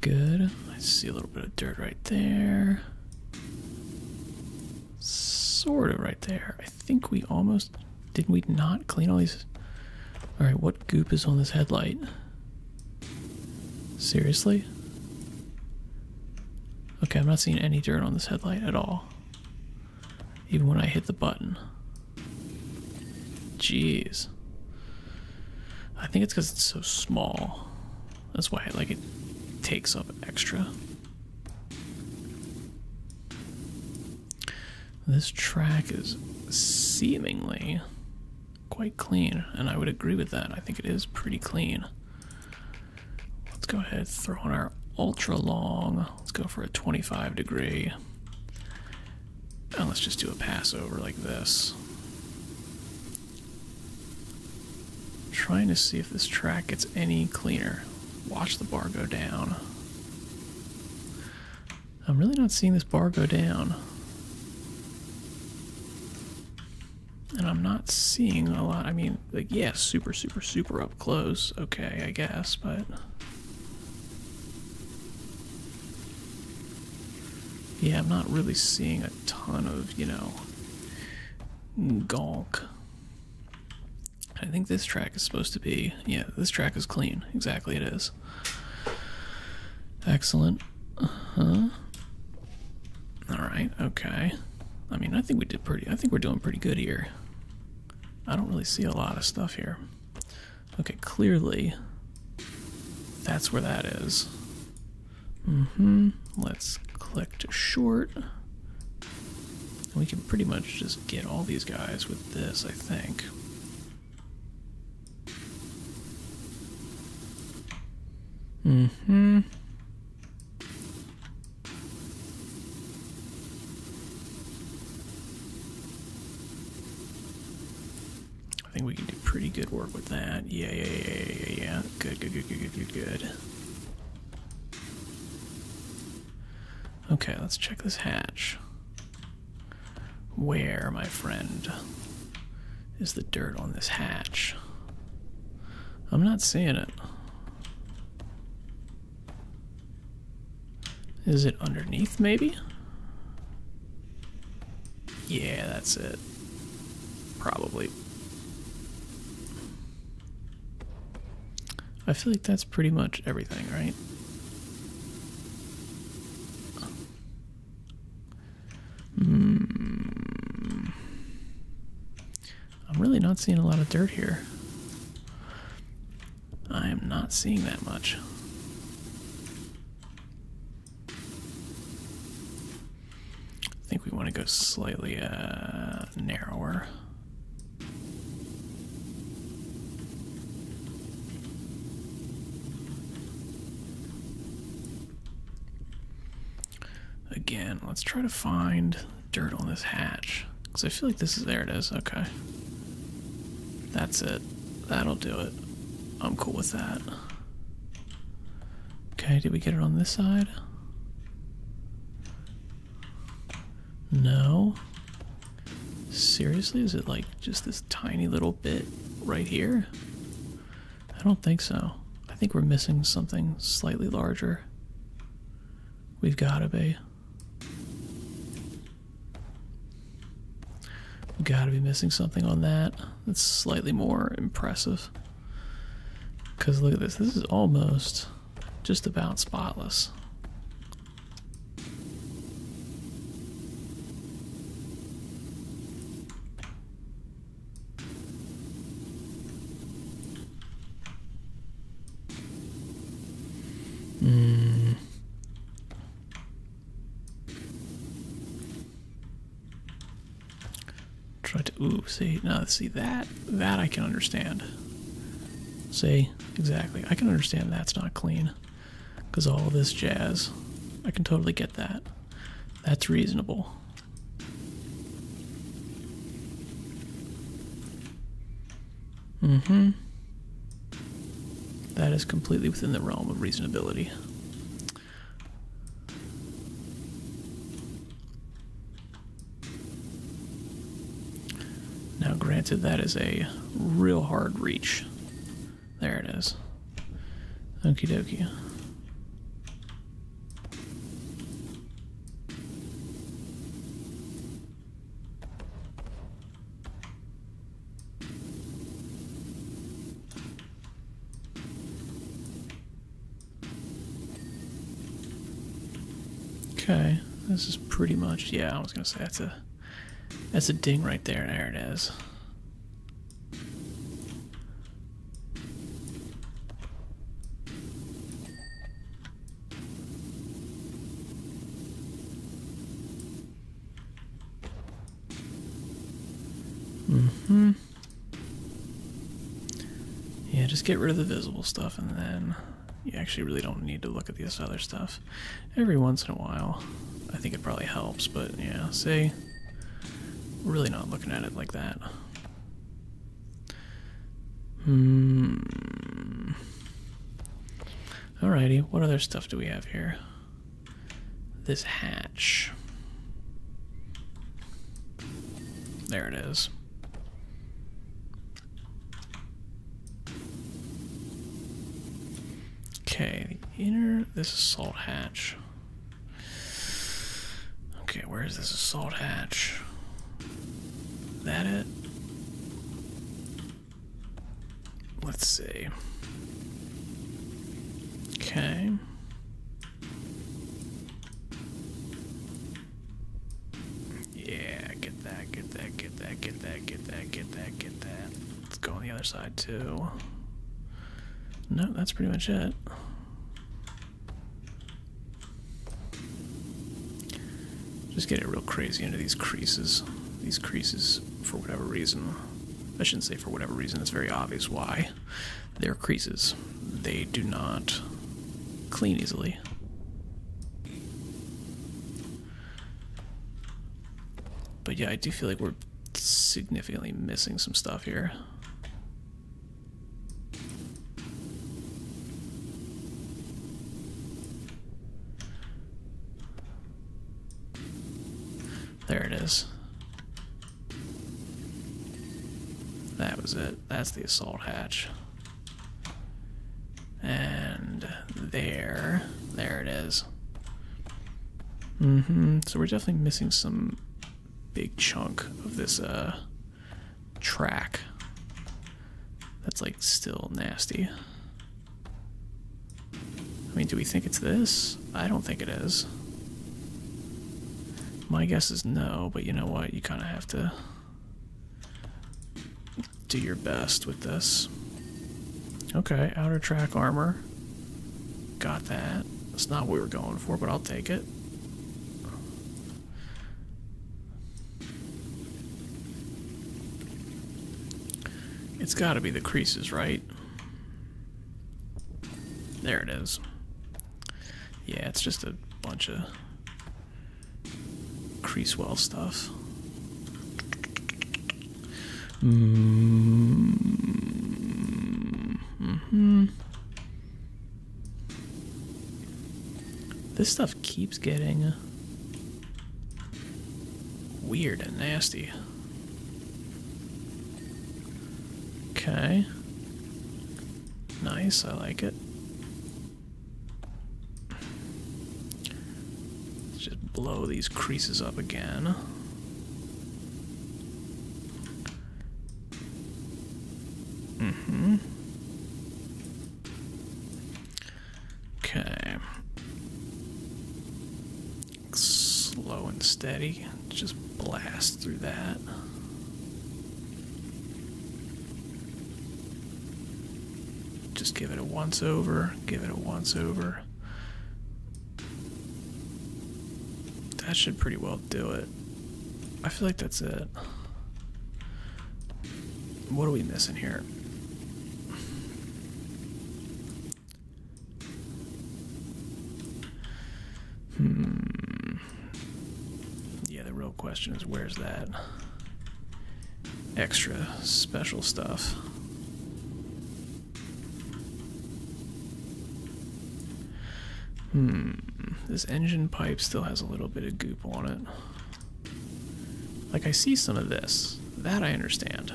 Good. I see a little bit of dirt right there. Sort of right there. I think we almost... Did not we not clean all these... Alright, what goop is on this headlight? Seriously? Okay, I'm not seeing any dirt on this headlight at all. Even when I hit the button. Jeez. I think it's because it's so small. That's why like it takes up extra. This track is seemingly quite clean, and I would agree with that. I think it is pretty clean. Let's go ahead, throw on our ultra long. Let's go for a 25 degree. And let's just do a pass over like this. trying to see if this track gets any cleaner. Watch the bar go down. I'm really not seeing this bar go down. And I'm not seeing a lot. I mean, like, yeah, super, super, super up close. Okay, I guess, but... Yeah, I'm not really seeing a ton of, you know, gawk. I think this track is supposed to be, yeah, this track is clean. Exactly, it is. Excellent. Uh-huh. Alright, okay. I mean, I think we did pretty, I think we're doing pretty good here. I don't really see a lot of stuff here. Okay, clearly, that's where that is. Mm hmm. Let's click to short. We can pretty much just get all these guys with this, I think hmm I think we can do pretty good work with that. Yeah, yeah, yeah, yeah, yeah. Good, good, good, good, good, good, good. Okay, let's check this hatch. Where, my friend, is the dirt on this hatch? I'm not seeing it. Is it underneath, maybe? Yeah, that's it. Probably. I feel like that's pretty much everything, right? Hmm. I'm really not seeing a lot of dirt here. I am not seeing that much. I think we want to go slightly uh, narrower. Again, let's try to find dirt on this hatch. Because I feel like this is there it is. Okay. That's it. That'll do it. I'm cool with that. Okay, did we get it on this side? No. Seriously, is it like just this? tiny little bit right here? I don't think so. I think we're missing something slightly larger. We've gotta be. gotta be missing something on that. That's slightly more impressive. Because look at this, this is almost just about spotless. Hmm. Try to ooh see now see that that I can understand. See exactly I can understand that's not clean. Because all this jazz. I can totally get that. That's reasonable. hmm. That is completely within the realm of reasonability. Now, granted, that is a real hard reach. There it is. Okey dokie. Okay, this is pretty much yeah, I was gonna say that's a that's a ding right there, there it is. Mm-hmm. Yeah, just get rid of the visible stuff and then you actually really don't need to look at this other stuff. Every once in a while, I think it probably helps, but yeah, see. Really not looking at it like that. Hmm. Alrighty, what other stuff do we have here? This hatch. There it is. Okay, the inner this assault hatch. Okay, where is this assault hatch? That it? Let's see. Okay. Yeah, get that, get that, get that, get that, get that, get that, get that. Let's go on the other side too. No, that's pretty much it. Just getting real crazy into these creases. These creases, for whatever reason, I shouldn't say for whatever reason, it's very obvious why. They're creases. They do not clean easily. But yeah, I do feel like we're significantly missing some stuff here. There it is. That was it. That's the assault hatch. And there. There it is hmm So we're definitely missing some big chunk of this uh, track. That's like still nasty. I mean, do we think it's this? I don't think it is. My guess is no, but you know what? You kind of have to do your best with this. Okay, outer track armor. Got that. That's not what we were going for, but I'll take it. It's got to be the creases, right? There it is. Yeah, it's just a bunch of crease well stuff hmm This stuff keeps getting uh, weird and nasty. Okay. Nice, I like it. Let's just blow these creases up again. Mm-hmm. Okay. Slow and steady. Just blast through that. Just give it a once over, give it a once over. That should pretty well do it. I feel like that's it. What are we missing here? Hmm. Yeah, the real question is where's that extra special stuff? Hmm. This engine pipe still has a little bit of goop on it. Like, I see some of this. That I understand.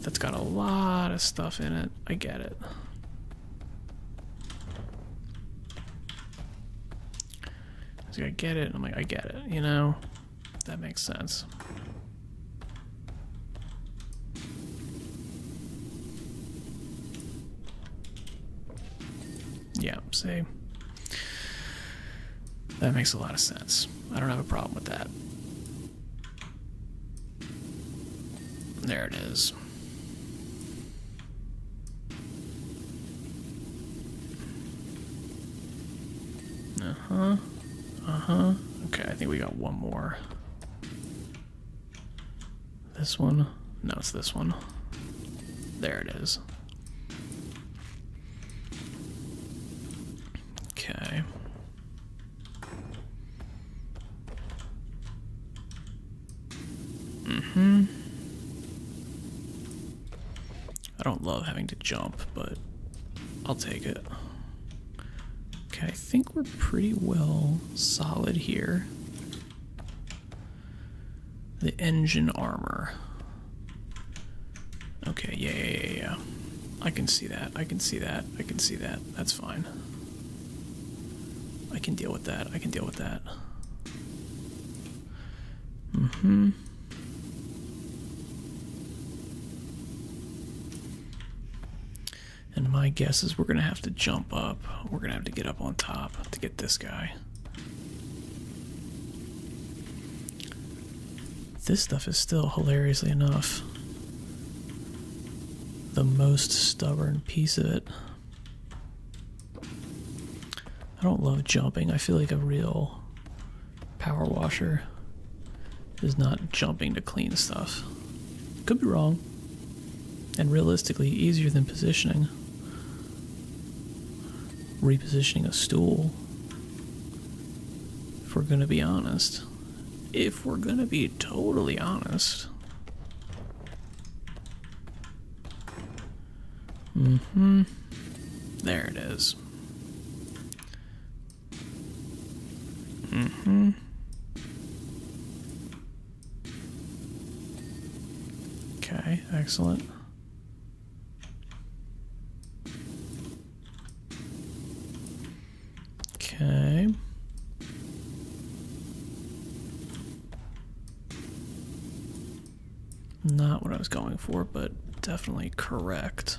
That's got a lot of stuff in it. I get it. I get it, I'm like, I get it, you know? That makes sense. Yeah, see? That makes a lot of sense. I don't have a problem with that. There it is. Uh-huh. Uh-huh. Okay, I think we got one more. This one? No, it's this one. There it is. Okay. hmm I don't love having to jump, but I'll take it. Okay, I think we're pretty well solid here. The engine armor. Okay, yeah, yeah, yeah, yeah. I can see that. I can see that. I can see that. That's fine. I can deal with that. I can deal with that. Mm hmm. And my guess is we're going to have to jump up. We're going to have to get up on top to get this guy. This stuff is still, hilariously enough, the most stubborn piece of it. I don't love jumping. I feel like a real power washer is not jumping to clean stuff. Could be wrong. And realistically, easier than positioning. Repositioning a stool. If we're gonna be honest. If we're gonna be totally honest. hmm There it is. Mm-hmm. Okay, excellent. Okay. Not what I was going for, but definitely correct.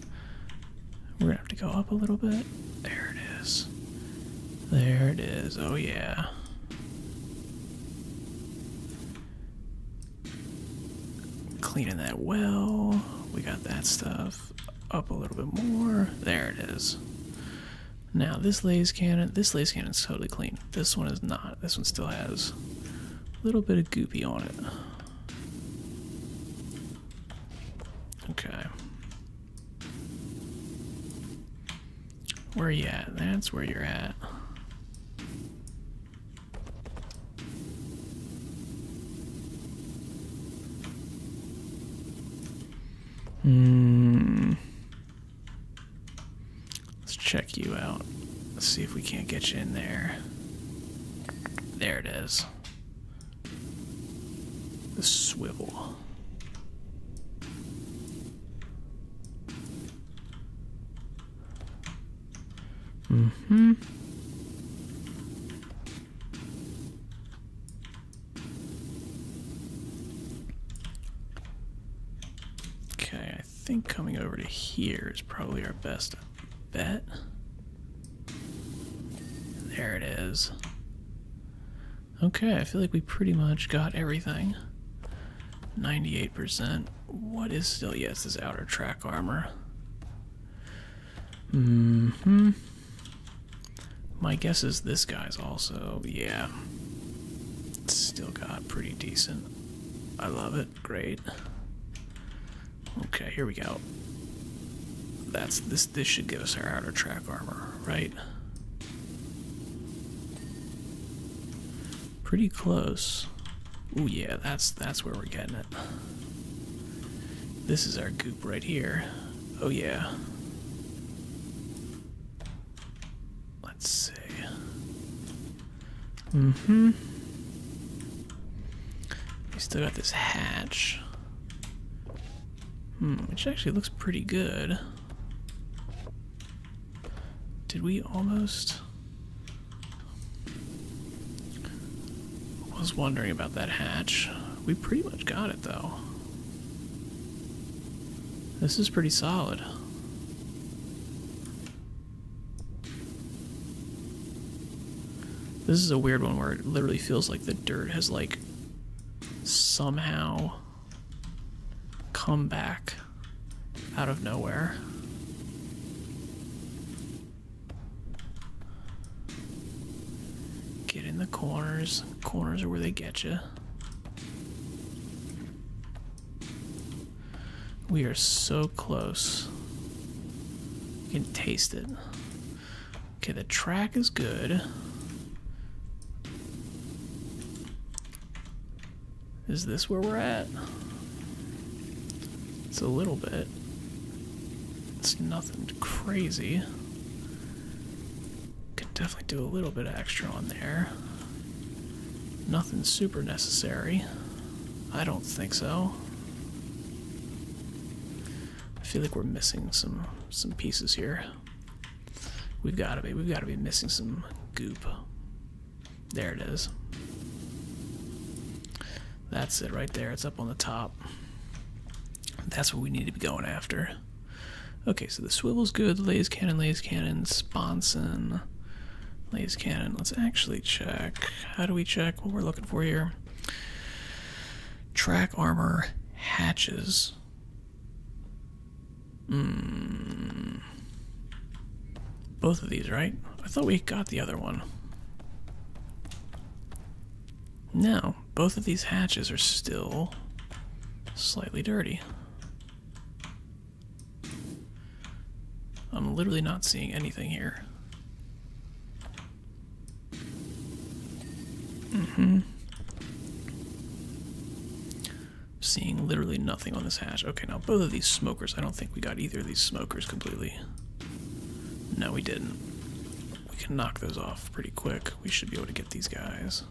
We're gonna have to go up a little bit. There it is. There it is. Oh, yeah. Cleaning that well. We got that stuff up a little bit more. There it is. Now, this laser cannon, this laser cannon is totally clean. This one is not. This one still has a little bit of goopy on it. Okay. Where you at? That's where you're at. Hmm. Let's check you out. Let's see if we can't get you in there. There it is the swivel. Mm-hmm. Okay, I think coming over to here is probably our best bet. There it is. Okay, I feel like we pretty much got everything. 98%. What is still? Yes, is outer track armor. Mm hmm My guess is this guy's also, yeah. Still got pretty decent. I love it. Great. Okay, here we go. That's this this should give us our outer track armor, right? Pretty close. Oh yeah, that's that's where we're getting it. This is our goop right here. Oh yeah. Let's see. Mm-hmm. We still got this hatch. Hmm, which actually looks pretty good. Did we almost... was wondering about that hatch. We pretty much got it, though. This is pretty solid. This is a weird one where it literally feels like the dirt has like somehow come back out of nowhere. Get in the corners. Corners are where they get you. We are so close. You can taste it. Okay, the track is good. Is this where we're at? It's a little bit. It's nothing crazy. Could definitely do a little bit extra on there. Nothing super necessary. I don't think so. I feel like we're missing some some pieces here. We've got to be. We've got to be missing some goop. There it is. That's it right there. It's up on the top. That's what we need to be going after. Okay, so the swivel's good. Lays cannon, lays cannon, sponson, lays cannon. Let's actually check. How do we check what we're looking for here? Track armor hatches. Hmm. Both of these, right? I thought we got the other one. No, both of these hatches are still slightly dirty. I'm literally not seeing anything here hmm Seeing literally nothing on this hatch. Okay, now both of these smokers. I don't think we got either of these smokers completely. No, we didn't. We can knock those off pretty quick. We should be able to get these guys.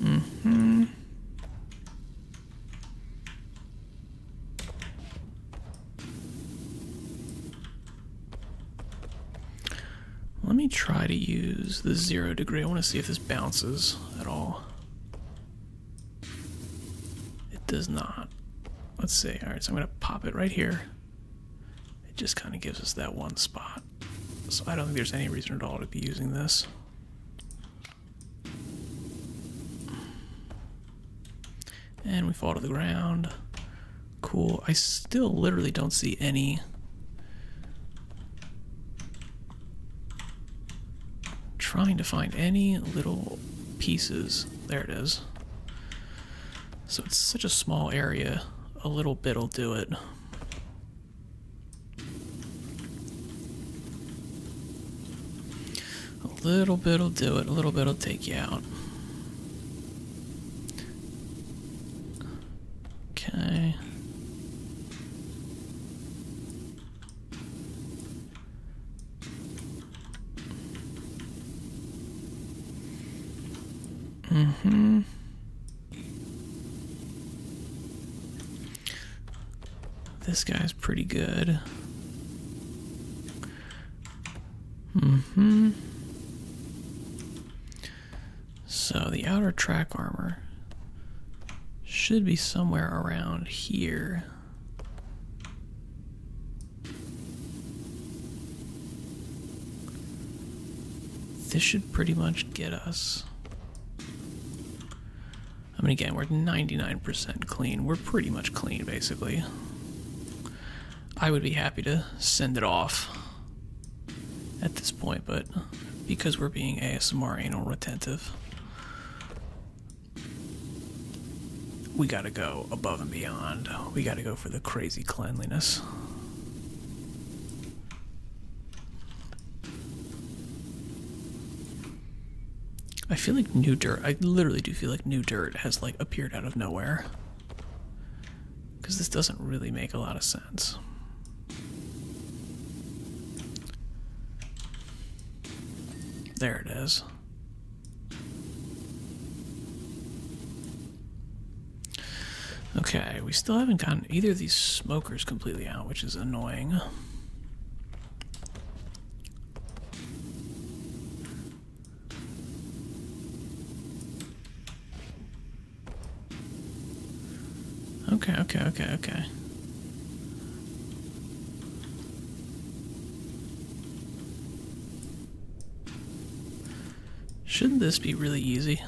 hmm let me try to use the zero degree. I want to see if this bounces at all. It does not. Let's see. All right, so I'm going to pop it right here. It just kind of gives us that one spot. So I don't think there's any reason at all to be using this. And we fall to the ground. Cool. I still literally don't see any trying to find any little pieces. There it is. So it's such a small area. A little bit'll do it. A little bit will do it. A little bit will take you out. Okay. Mm-hmm. This guy's pretty good. hmm So the outer track armor should be somewhere around here. This should pretty much get us. I mean, again, we're 99% clean. We're pretty much clean, basically. I would be happy to send it off at this point, but because we're being ASMR anal retentive, we gotta go above and beyond. We gotta go for the crazy cleanliness. I feel like new dirt. I literally do feel like new dirt has like appeared out of nowhere. Because this doesn't really make a lot of sense. There it is. Okay, we still haven't gotten either of these smokers completely out, which is annoying. Okay, okay, okay, okay. Shouldn't this be really easy?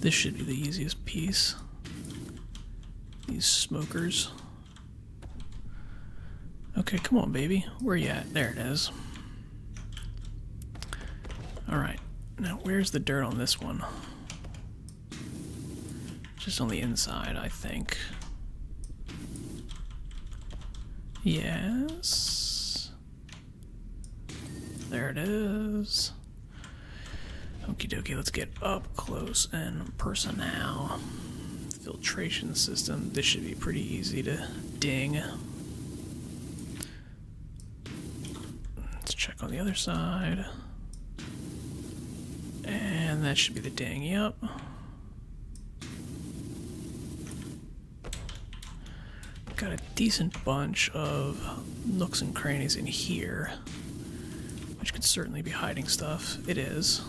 This should be the easiest piece. These smokers. Okay, come on, baby. Where you at? There it is. Alright, now where's the dirt on this one? Just on the inside, I think. Yes. There it is. Okie dokie, let's get up close and personal. Filtration system. This should be pretty easy to ding. Let's check on the other side. And that should be the ding, yep. Got a decent bunch of nooks and crannies in here, which could certainly be hiding stuff. It is.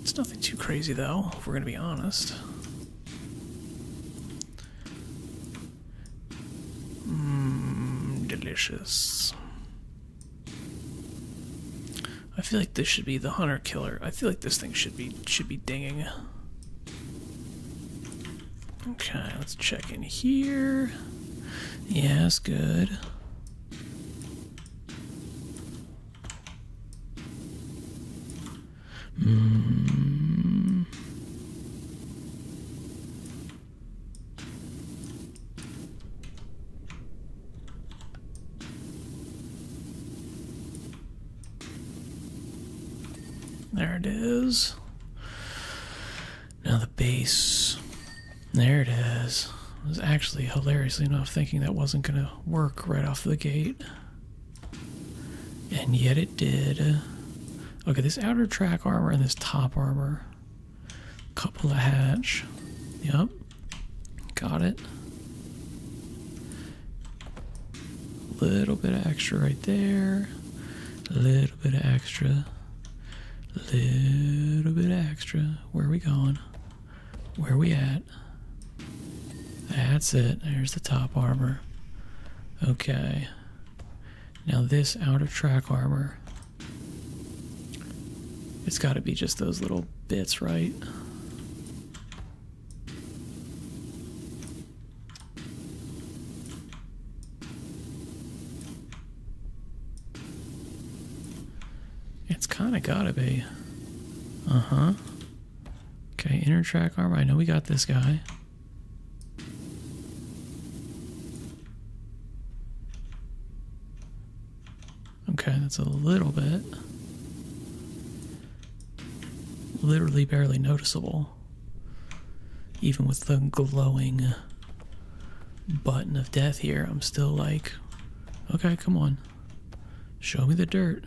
It's nothing too crazy, though, if we're going to be honest. Mmm, delicious. I feel like this should be the hunter killer. I feel like this thing should be should be dinging. Okay, let's check in here. Yeah, that's good. Mm. There it is. Now the base. There it is. I was actually hilariously enough thinking that wasn't going to work right off the gate. And yet it did. Okay, this outer track armor and this top armor. Couple of hatch. Yep. Got it. Little bit of extra right there. A Little bit of extra. A Little bit of extra. Where are we going? Where are we at? That's it. There's the top armor. Okay. Now this outer track armor. It's got to be just those little bits, right? It's kind of gotta be. Uh-huh. Okay, inner track armor. I know we got this guy. Okay, that's a little bit. Literally barely noticeable even with the glowing button of death here, I'm still like, okay, come on, show me the dirt.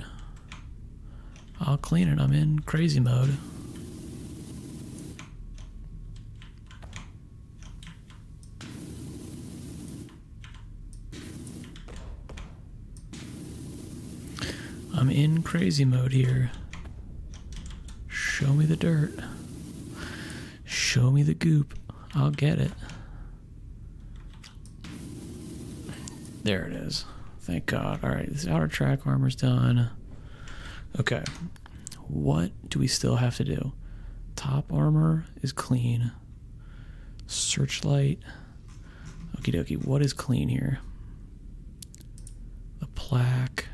I'll clean it. I'm in crazy mode. I'm in crazy mode here. Show me the dirt. Show me the goop. I'll get it. There it is. Thank God. All right, this outer track armor's done. Okay. What do we still have to do? Top armor is clean. Searchlight. Okey-dokey. dokie. What is clean here? the plaque.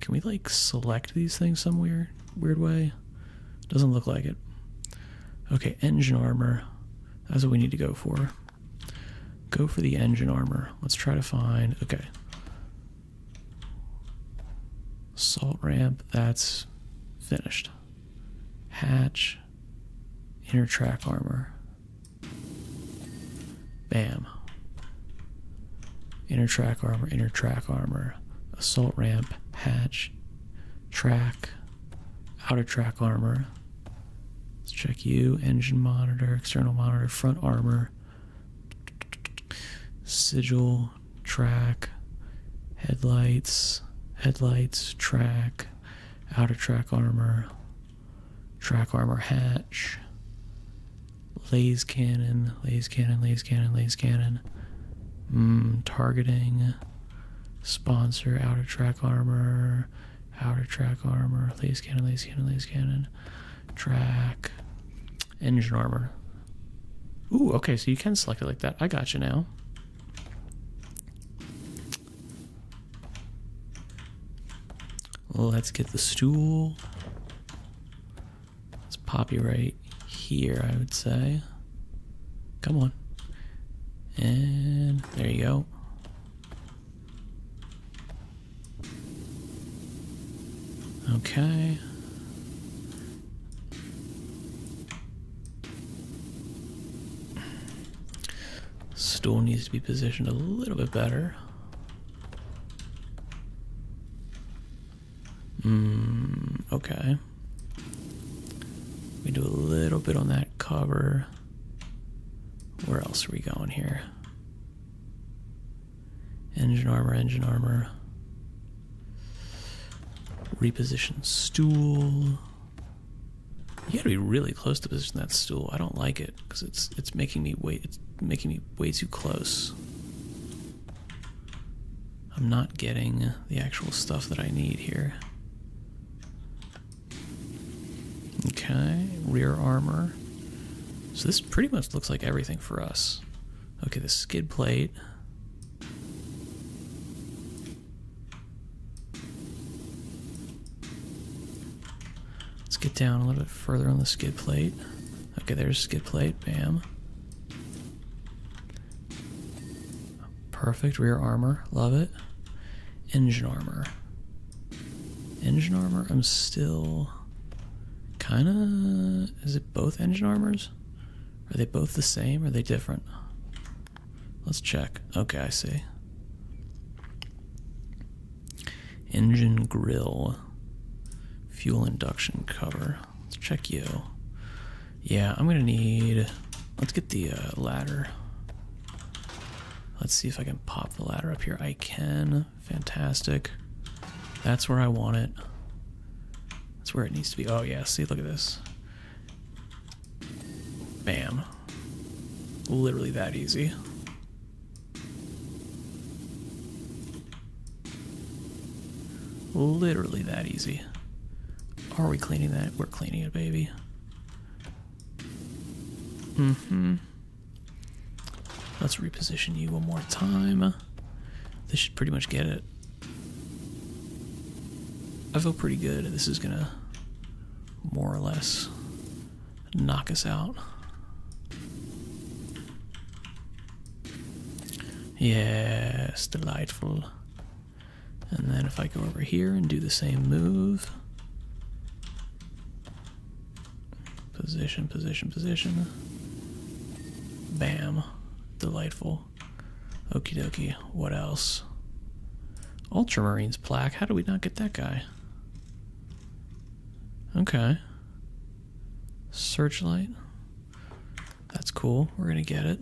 Can we like select these things some weird weird way? Doesn't look like it. Okay, engine armor. That's what we need to go for. Go for the engine armor. Let's try to find okay. Salt ramp, that's finished. Hatch, inner track armor. Bam. Inner track armor, inner track armor, assault ramp, hatch, track, outer track armor. Let's check you, engine monitor, external monitor, front armor, sigil, track, headlights, headlights, track, outer track armor, track armor hatch, laser cannon, laser cannon, laser cannon, laser cannon, mm, targeting, sponsor, outer track armor, outer track armor, laser cannon, laser cannon, laser cannon, track, engine armor. Ooh, okay, so you can select it like that. I got you now. Let's get the stool. Let's pop you right here, I would say. Come on. And there you go. Okay. Stool needs to be positioned a little bit better. Hmm, okay. We do a little bit on that cover. Where else are we going here? Engine armor, engine armor. Reposition stool. You gotta be really close to position that stool. I don't like it because it's it's making me way it's making me way too close. I'm not getting the actual stuff that I need here. Okay, rear armor. So this pretty much looks like everything for us. Okay, the skid plate. Let's get down a little bit further on the skid plate. Okay, there's skid plate. Bam. Perfect. Rear armor. Love it. Engine armor. Engine armor? I'm still kind of... Is it both engine armors? Are they both the same? are they different? Let's check. Okay, I see. Engine grill, fuel induction cover. Let's check you. Yeah, I'm gonna need. Let's get the uh, ladder. Let's see if I can pop the ladder up here. I can. Fantastic. That's where I want it. That's where it needs to be. Oh, yeah. See, look at this. Bam. Literally that easy. Literally that easy. Are we cleaning that? We're cleaning it, baby. hmm Let's reposition you one more time. This should pretty much get it. I feel pretty good. This is gonna more or less knock us out. Yes, delightful. And then if I go over here and do the same move. Position, position, position. Bam. Delightful. Okie dokie. What else? Ultramarine's plaque. How do we not get that guy? Okay. Searchlight. That's cool. We're going to get it.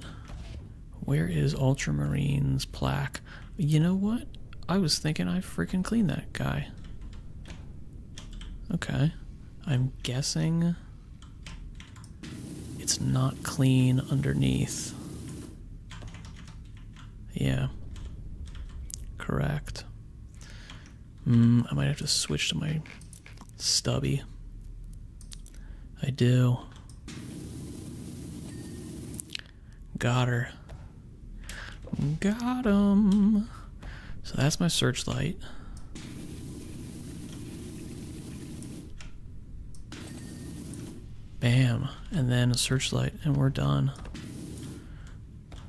Where is Ultramarine's plaque? You know what? I was thinking I freaking clean that guy. Okay. I'm guessing it's not clean underneath. Yeah. Correct. Mm, I might have to switch to my stubby. I do. Got her. Got him. So that's my searchlight. Bam. And then a searchlight, and we're done.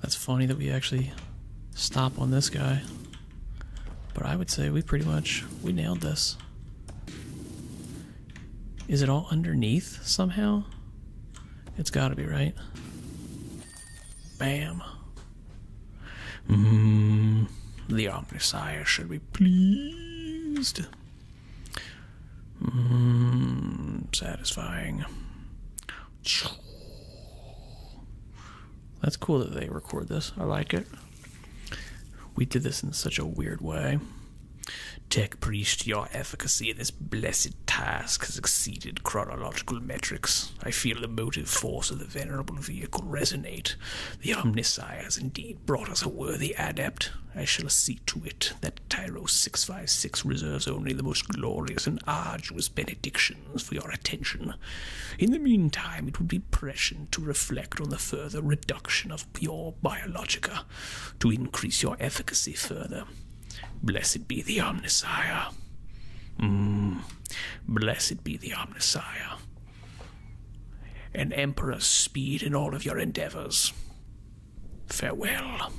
That's funny that we actually stop on this guy. But I would say we pretty much we nailed this. Is it all underneath somehow? It's got to be, right? Bam. Mm-hmm. the Omnisire should be pleased. Mm-hmm. satisfying. That's cool that they record this. I like it. We did this in such a weird way. Tech priest, your efficacy in this blessed task has exceeded chronological metrics. I feel the motive force of the venerable vehicle resonate. The omniscience has indeed brought us a worthy adept. I shall see to it that Tyro 656 reserves only the most glorious and arduous benedictions for your attention. In the meantime, it would be prescient to reflect on the further reduction of your biologica, to increase your efficacy further. Blessed be the Omnisire. Mm. Blessed be the Omnisire. And Emperor speed in all of your endeavors. Farewell.